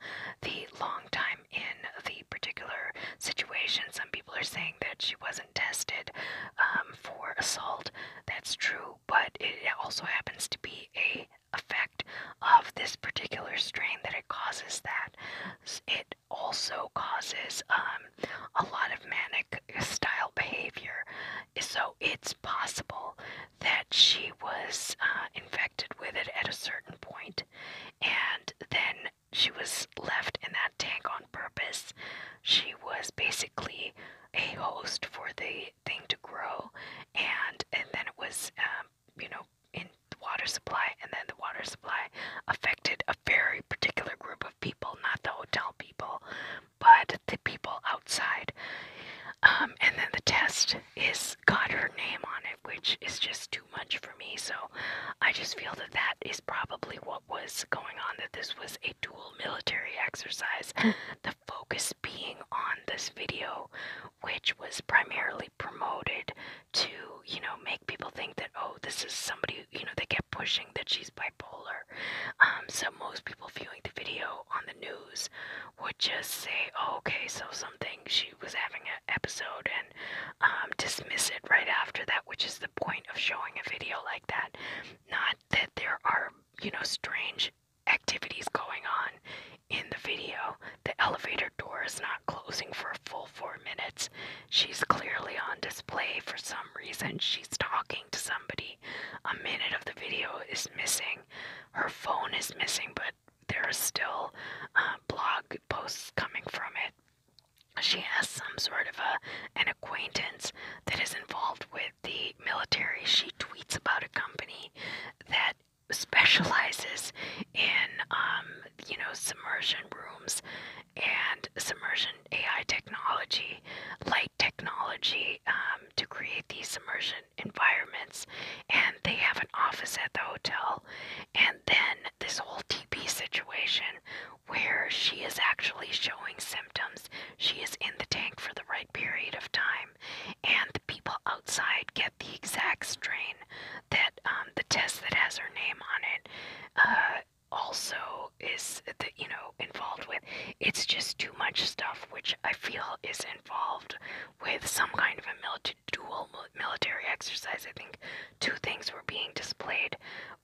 the long time in the particular situation. Some people are saying that she wasn't tested um, for assault. That's true, but it also happens to be a effect of this particular strain that it causes that it also causes um, a lot of manic manic style behavior. So it's possible that she was uh, infected with it at a certain point and then she was left in that tank on purpose. She was basically a host for the thing to grow and and then it was um, you know in the water supply and then the water supply affected a very particular group of people, not the hotel people, but the people outside. Um, and then the test is got her name on it, which is just too much for me. So I just feel that that is probably what was going on, that this was a dual military exercise. The focus being on this video, which was primarily promoted to, you know, make people think that, oh, this is somebody, you know, they get pushing that she's bipolar. Um, so most people viewing the video on the news would just say, oh, okay, so something, she was having an episode and um, dismiss it right after that, which is the point of showing a video like that. Not that there are, you know, strange activities going on in the video. The elevator door is not closing for a full four minutes. She's clearly on display for some reason. She's talking to somebody. A minute of the video is missing. Her phone is missing, but there are still uh, blog posts coming from it. She has some sort of a, an acquaintance that is involved with the military. She tweets about a company that specializes in, um, you know, submersion rooms and submersion AI technology, light technology um, to create these immersion environments. And they have an office at the hotel. And then this whole TB situation where she is actually showing symptoms. She is in the tank for the right period of time, and the people outside get the exact strain that um, the test that has her name on it uh, also is the, you know involved with it's just too much stuff which i feel is involved with some kind of a military dual military exercise i think two things were being displayed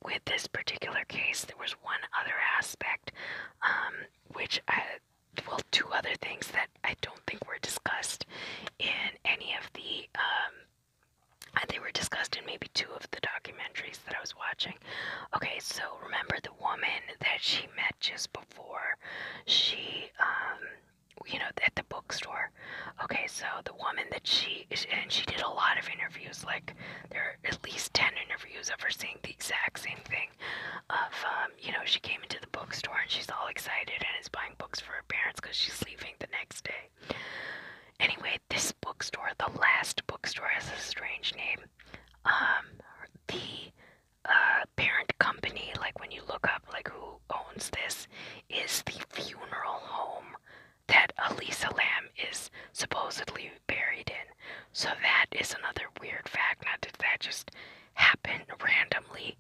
with this particular case there was one other aspect um, which i well two other things that i don't think were discussed in any of the um, uh, they were discussed in maybe two of the documentaries that I was watching. Okay, so remember the woman that she met just before she, um, you know, at the bookstore. Okay, so the woman that she, and she did a lot of interviews, like there are at least 10 interviews of her saying the exact same thing of, um, you know, she came into the bookstore and she's all excited and is buying books for her parents because she's leaving the next day. Anyway, this bookstore, the last bookstore, has a strange name. Um, the uh, parent company, like when you look up like who owns this, is the funeral home that Elisa Lamb is supposedly buried in. So that is another weird fact. Not that that just happened randomly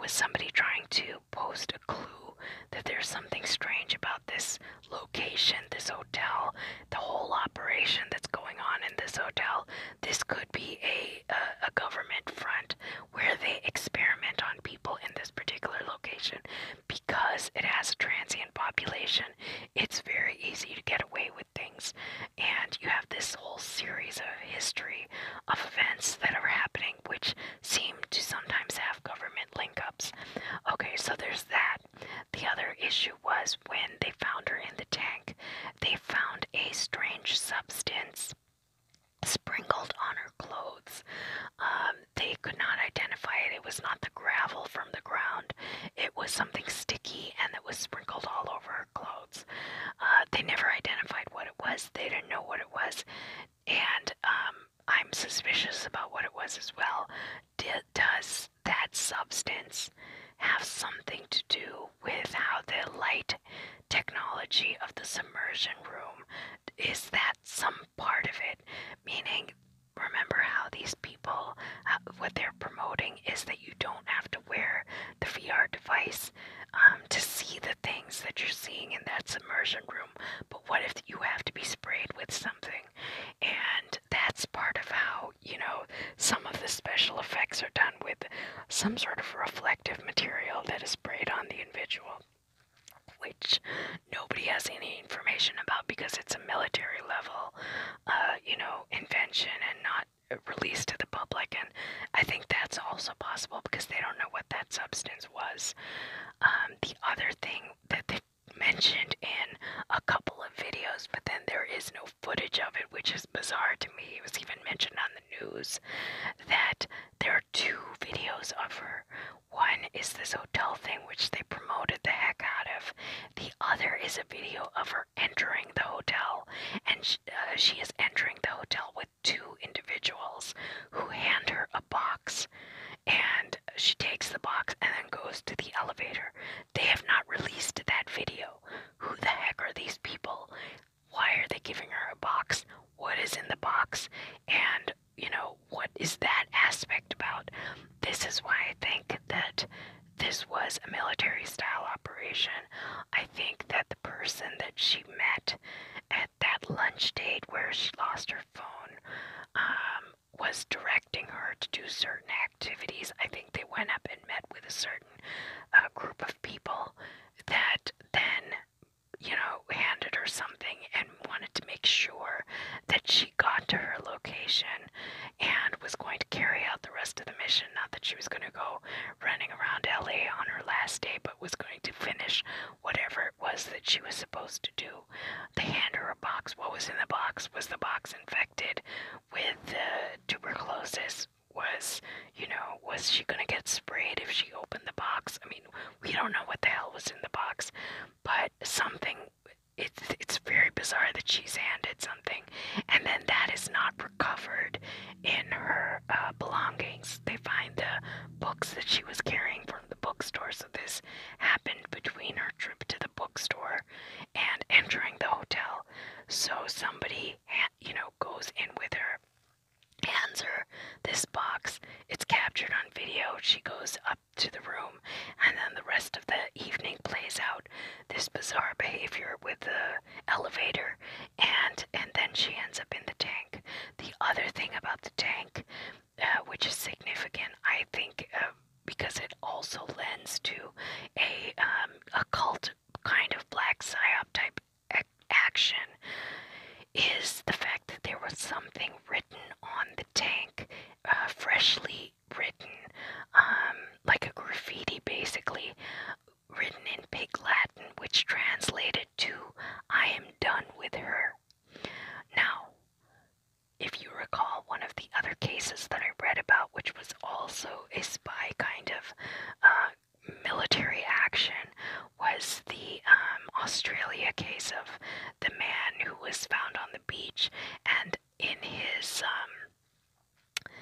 with somebody trying to post a clue that there's something strange about this location, this hotel, the whole operation that's going on in this hotel. This could be a, a, a government front where they experiment on people in this particular location because it has a transient population. It's very easy to get away with things, and you have this whole series of history of events that are happening, which seem to sometimes have government link ups. Okay, so there's that that. The other issue was when they found her in the tank, they found a strange substance sprinkled on her clothes. Um, they could not identify it. It was not the gravel from the ground, it was something sticky and that was sprinkled all over her clothes. Uh, they never identified what it was, they didn't know what it was, and um, I'm suspicious about what it was as well does that substance have something to do with how the light technology of the submersion room is that some part of it? Meaning, remember how these people, uh, what they're promoting is that you don't have to wear the VR device um, to see the things that you're seeing in that submersion room. But what if you have to be sprayed with something? And and that's part of how, you know, some of the special effects are done with some sort of reflective material that is sprayed on the individual, which nobody has any information about because it's a military level, uh, you know, invention and not released to the public. And I think that's also possible because they don't know what that substance was. Um, the other thing that they mentioned in a couple videos, but then there is no footage of it, which is bizarre to me. It was even mentioned on the news that there are two videos of her. One is this hotel thing, which they promoted the heck out of. The other is a video of her entering the hotel, and uh, she is entering the hotel with two individuals who hand her a box. And she takes the box and then goes to the elevator. They have not released that video. Who the heck are these people? Why are they giving her a box? What is in the box? And, you know, what is that aspect about? This is why I think that this was a military style operation. I think that the person that she met at that lunch date where she lost her phone um, was directing her to do certain activities. I think they went up and met with a certain uh, group of people that then, you know, handed her something and wanted to make sure that she got to her location and was going to carry out the rest of the mission. Not that she was going to go running around LA on her last day, but was going to finish whatever it was that she was supposed to do. They hand her a box. What was in the box? Was the box, in fact, infected with the tuberculosis was, you know, was she gonna get sprayed if she opened the box? I mean, we don't know what the hell was in the box, but something. It's it's very bizarre that she's handed something, and then that is not recovered in her uh, belongings. They find the books that she was carrying from the bookstore. So this happened between her trip to the bookstore and entering the hotel. So somebody, you know, goes in with her, hands her this box. It's captured on video. She goes up to the room, and then the rest of the evening plays out this bizarre behavior with the elevator, and and then she ends up in the tank. The other thing about the tank, uh, which is significant, I think. Um, because it also lends to a um, occult kind of black psyop type action, is the fact that there was something written on the tank, uh, freshly written, um, like a graffiti basically, written in Pig Latin, which translated to, I am done with her. Now, if you recall, one of the other cases that I read about which was also a spy kind of uh, military action, was the um, Australia case of the man who was found on the beach and in his um,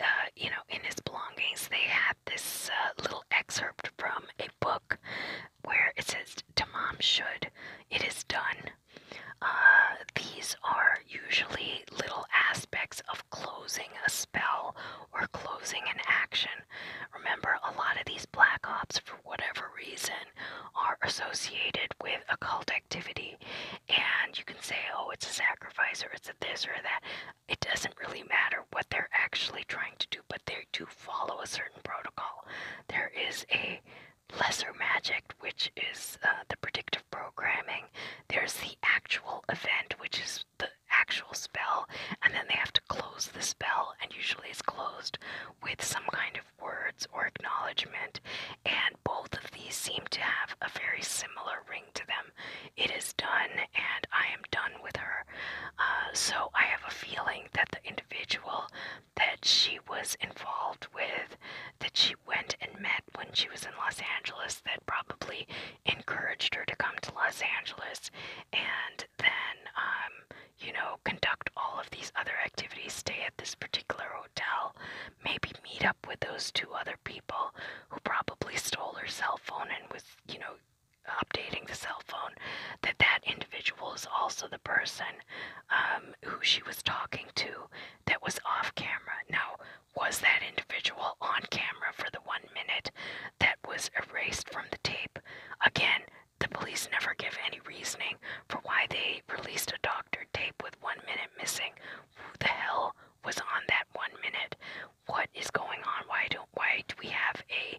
uh, you know in his belongings they had this uh, little excerpt from a book where it says "To mom, should it is done uh, these are usually little aspects of closing a spell or closing an action. Remember, a lot of these black ops, for whatever reason, are associated with occult activity. And you can say, oh, it's a sacrifice or it's a this or that. It doesn't really matter what they're actually trying to do, but they do follow a certain protocol. There is a lesser magic which is uh, the predictive programming. There's the actual event, which is the actual spell, and then they have to close the spell, and usually it's closed with some kind of words or acknowledgement. And both of these seem to have a very similar ring to them. It is done, and I am done with her. Uh, so I have a feeling that the individual that she was involved with that she went and met when she was in Los Angeles that probably encouraged her to come to Los Angeles and then, um, you know, conduct all of these other activities, stay at this particular hotel, maybe meet up with those two other people who probably stole her cell phone and was, you know, updating the cell phone that that individual is also the person um, who she was talking to that was off camera now was that individual on camera for the one minute that was erased from the tape? Again, the police never give any reasoning for why they released a doctor tape with one minute missing. Who the hell was on that one minute? What is going on? Why do why do we have a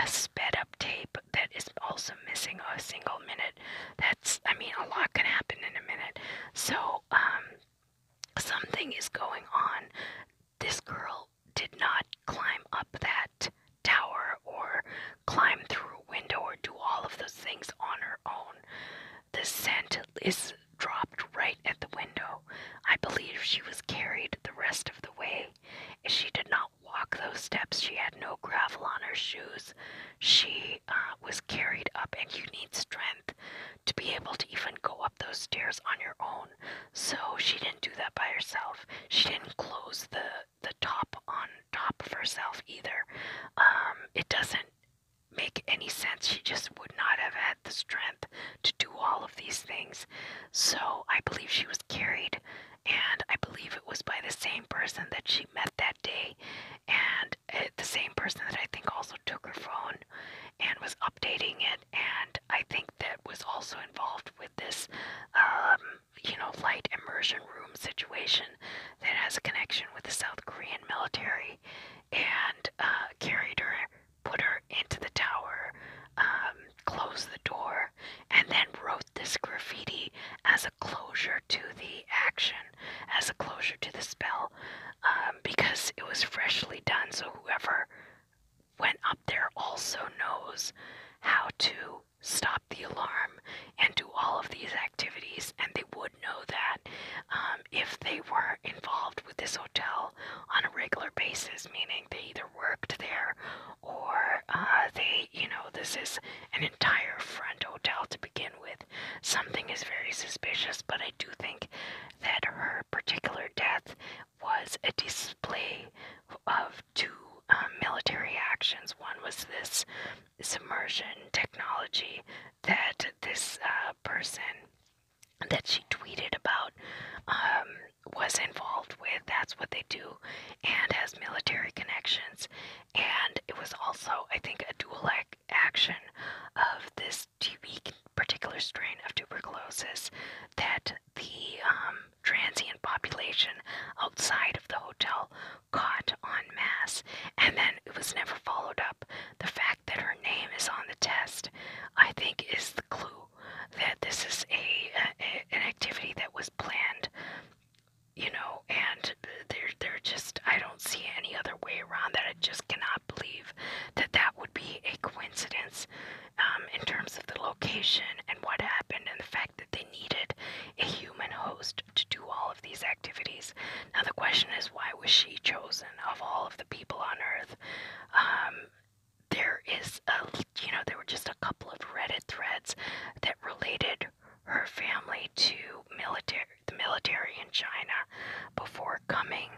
a sped up tape that is also missing a single minute? That's I mean a lot can happen in a minute. So um Something is going on. This girl did not climb up that tower or climb through a window or do all of those things on her own. The scent is dropped right at the window. I believe she was carried the rest of the way. If she did not walk those steps, she had no gravel on her shoes. She uh, was carried up, and you need strength to be able to even go up those stairs on your own. So she didn't do that by herself. She didn't close the the top on top of herself either. Um, it doesn't make any sense. She just would not have had the strength to do all of these things. So I believe she was carried, and I believe it was by the same person that she met that day. And Eh, the same person that I think also took her phone and was updating it, and I think that was also involved with this, um, you know, light immersion room situation that has a connection with the South Korean military, and uh, carried her, put her into the tower, um, closed the door, and then wrote this graffiti as a closure to the action, as a closure to the spell. Um, because it was freshly done. So whoever went up there also knows how to stop the alarm and do all of these activities, and they would know that um, if they were involved with this hotel on a regular basis, meaning they either worked there or uh, they, you know, this is an entire front hotel to begin with, Something is very suspicious, but I do think that her particular death was a display of two um, military actions. One was this submersion technology that this uh, person that she tweeted about um, was involved with. That's what they do, and has military connections. And it was also, I think, a dueling action of this particular strain of tuberculosis that the um, transient population outside of the hotel caught en masse, and then it was never followed up. The fact that her name is on the test, I think, is the clue that this is a an activity that was planned. You know, and they're they're just I don't don't see it any other way around that. I just cannot believe that that would be a coincidence um, in terms of the location and what happened and the fact that they needed a human host to do all of these activities. Now, the question is, why was she chosen of all of the people on Earth? Um, there is a, you know, there were just a couple of Reddit threads that related her family to military the military in China before coming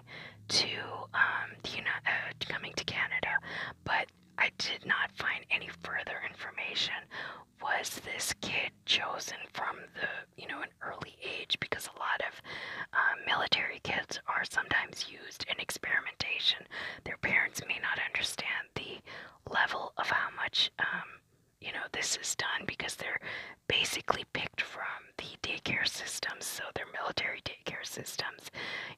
to um, the uh, coming to Canada, but I did not find any further information. Was this kid chosen from the you know an early age? Because a lot of um, military kids are sometimes used in experimentation. Their parents may not understand the level of how much um, you know this is done because they're basically picked from the daycare systems, so they're military daycare systems,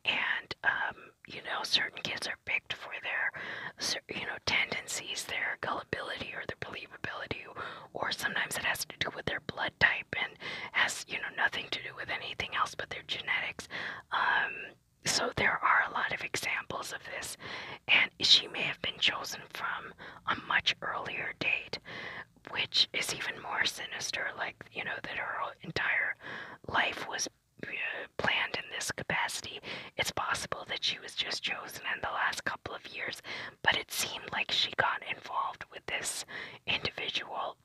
and um, you know, certain kids are picked for their, you know, tendencies, their gullibility or their believability, or sometimes it has to do with their blood type and has, you know, nothing to do with anything else but their genetics. Um, so there are a lot of examples of this, and she may have been chosen from a much earlier date which is even more sinister, like, you know, that her entire life was uh, planned in this capacity. It's possible that she was just chosen in the last couple of years, but it seemed like she got involved with this individual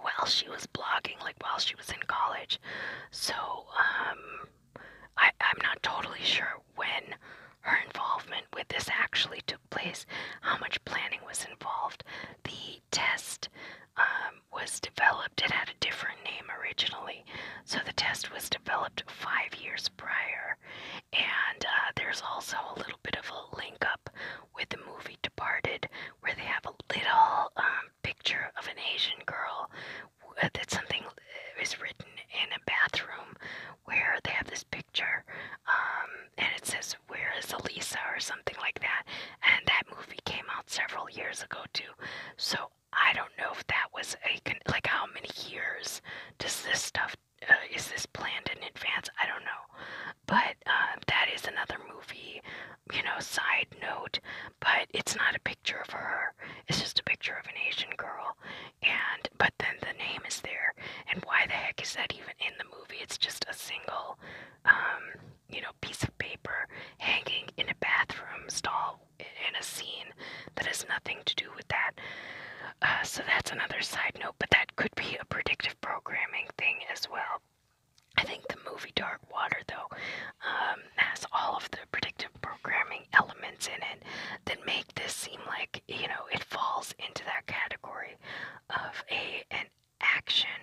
while she was blogging, like while she was in college. So, um, I, I'm not totally sure when her involvement with this actually took place, how much planning was involved. The test um, was developed, it had a different name originally, so the test was developed five years prior. And uh, there's also a little bit of a link up with the movie Departed, where they have a little um, picture of an Asian girl uh, that something is written in a bathroom where they have this picture, um, and it says, Where is Elisa? or something like that. And that movie came out several years ago, too. So I don't know if that was a, con- like, how many years does this stuff, uh, is this planned in advance? I don't know. But uh, that is another movie, you know, side note. But it's not a picture of her, it's just a picture of an Asian girl and but then the name is there and why the heck is that even in the movie it's just a single um you know piece of paper hanging in a bathroom stall in a scene that has nothing to do with that uh, so that's another side note but that could be a predictive programming thing as well I think the movie Dark Water, though, um, has all of the predictive programming elements in it that may make this seem like, you know, it falls into that category of a an action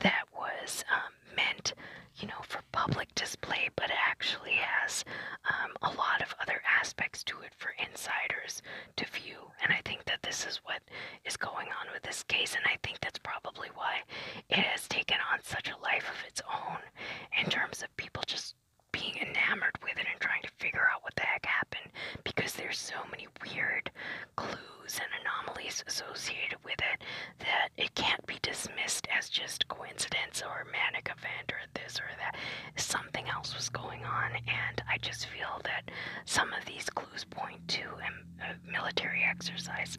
that was um, meant, you know, for public display, but actually has um, a lot of other aspects to it for insiders to view. And I think that this is what is going on with this case, and I think that's probably why it has taken on such a life of its own in terms of people just being enamored with it and trying to figure out what the heck happened because there's so many weird clues and anomalies associated with it that it can't be dismissed as just coincidence or a manic event or this or that. Something else was going on, and I just feel that some of these clues point to a military exercise.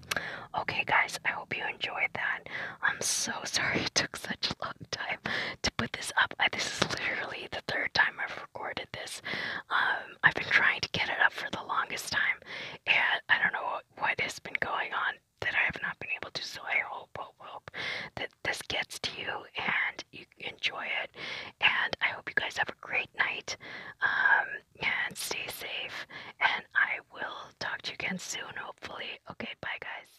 Okay, guys, I hope you enjoyed that. I'm so sorry it took such a long time to put this up. this is literally the third time I've recorded this. Um, I've been trying to get it up for the longest time, and I don't know what has been going on that I have not been able to. So I hope, hope, hope that this gets to you and you enjoy it. And I hope you guys have a great night. Um, and stay safe. And I will talk to you again soon, hopefully. Okay, bye, guys.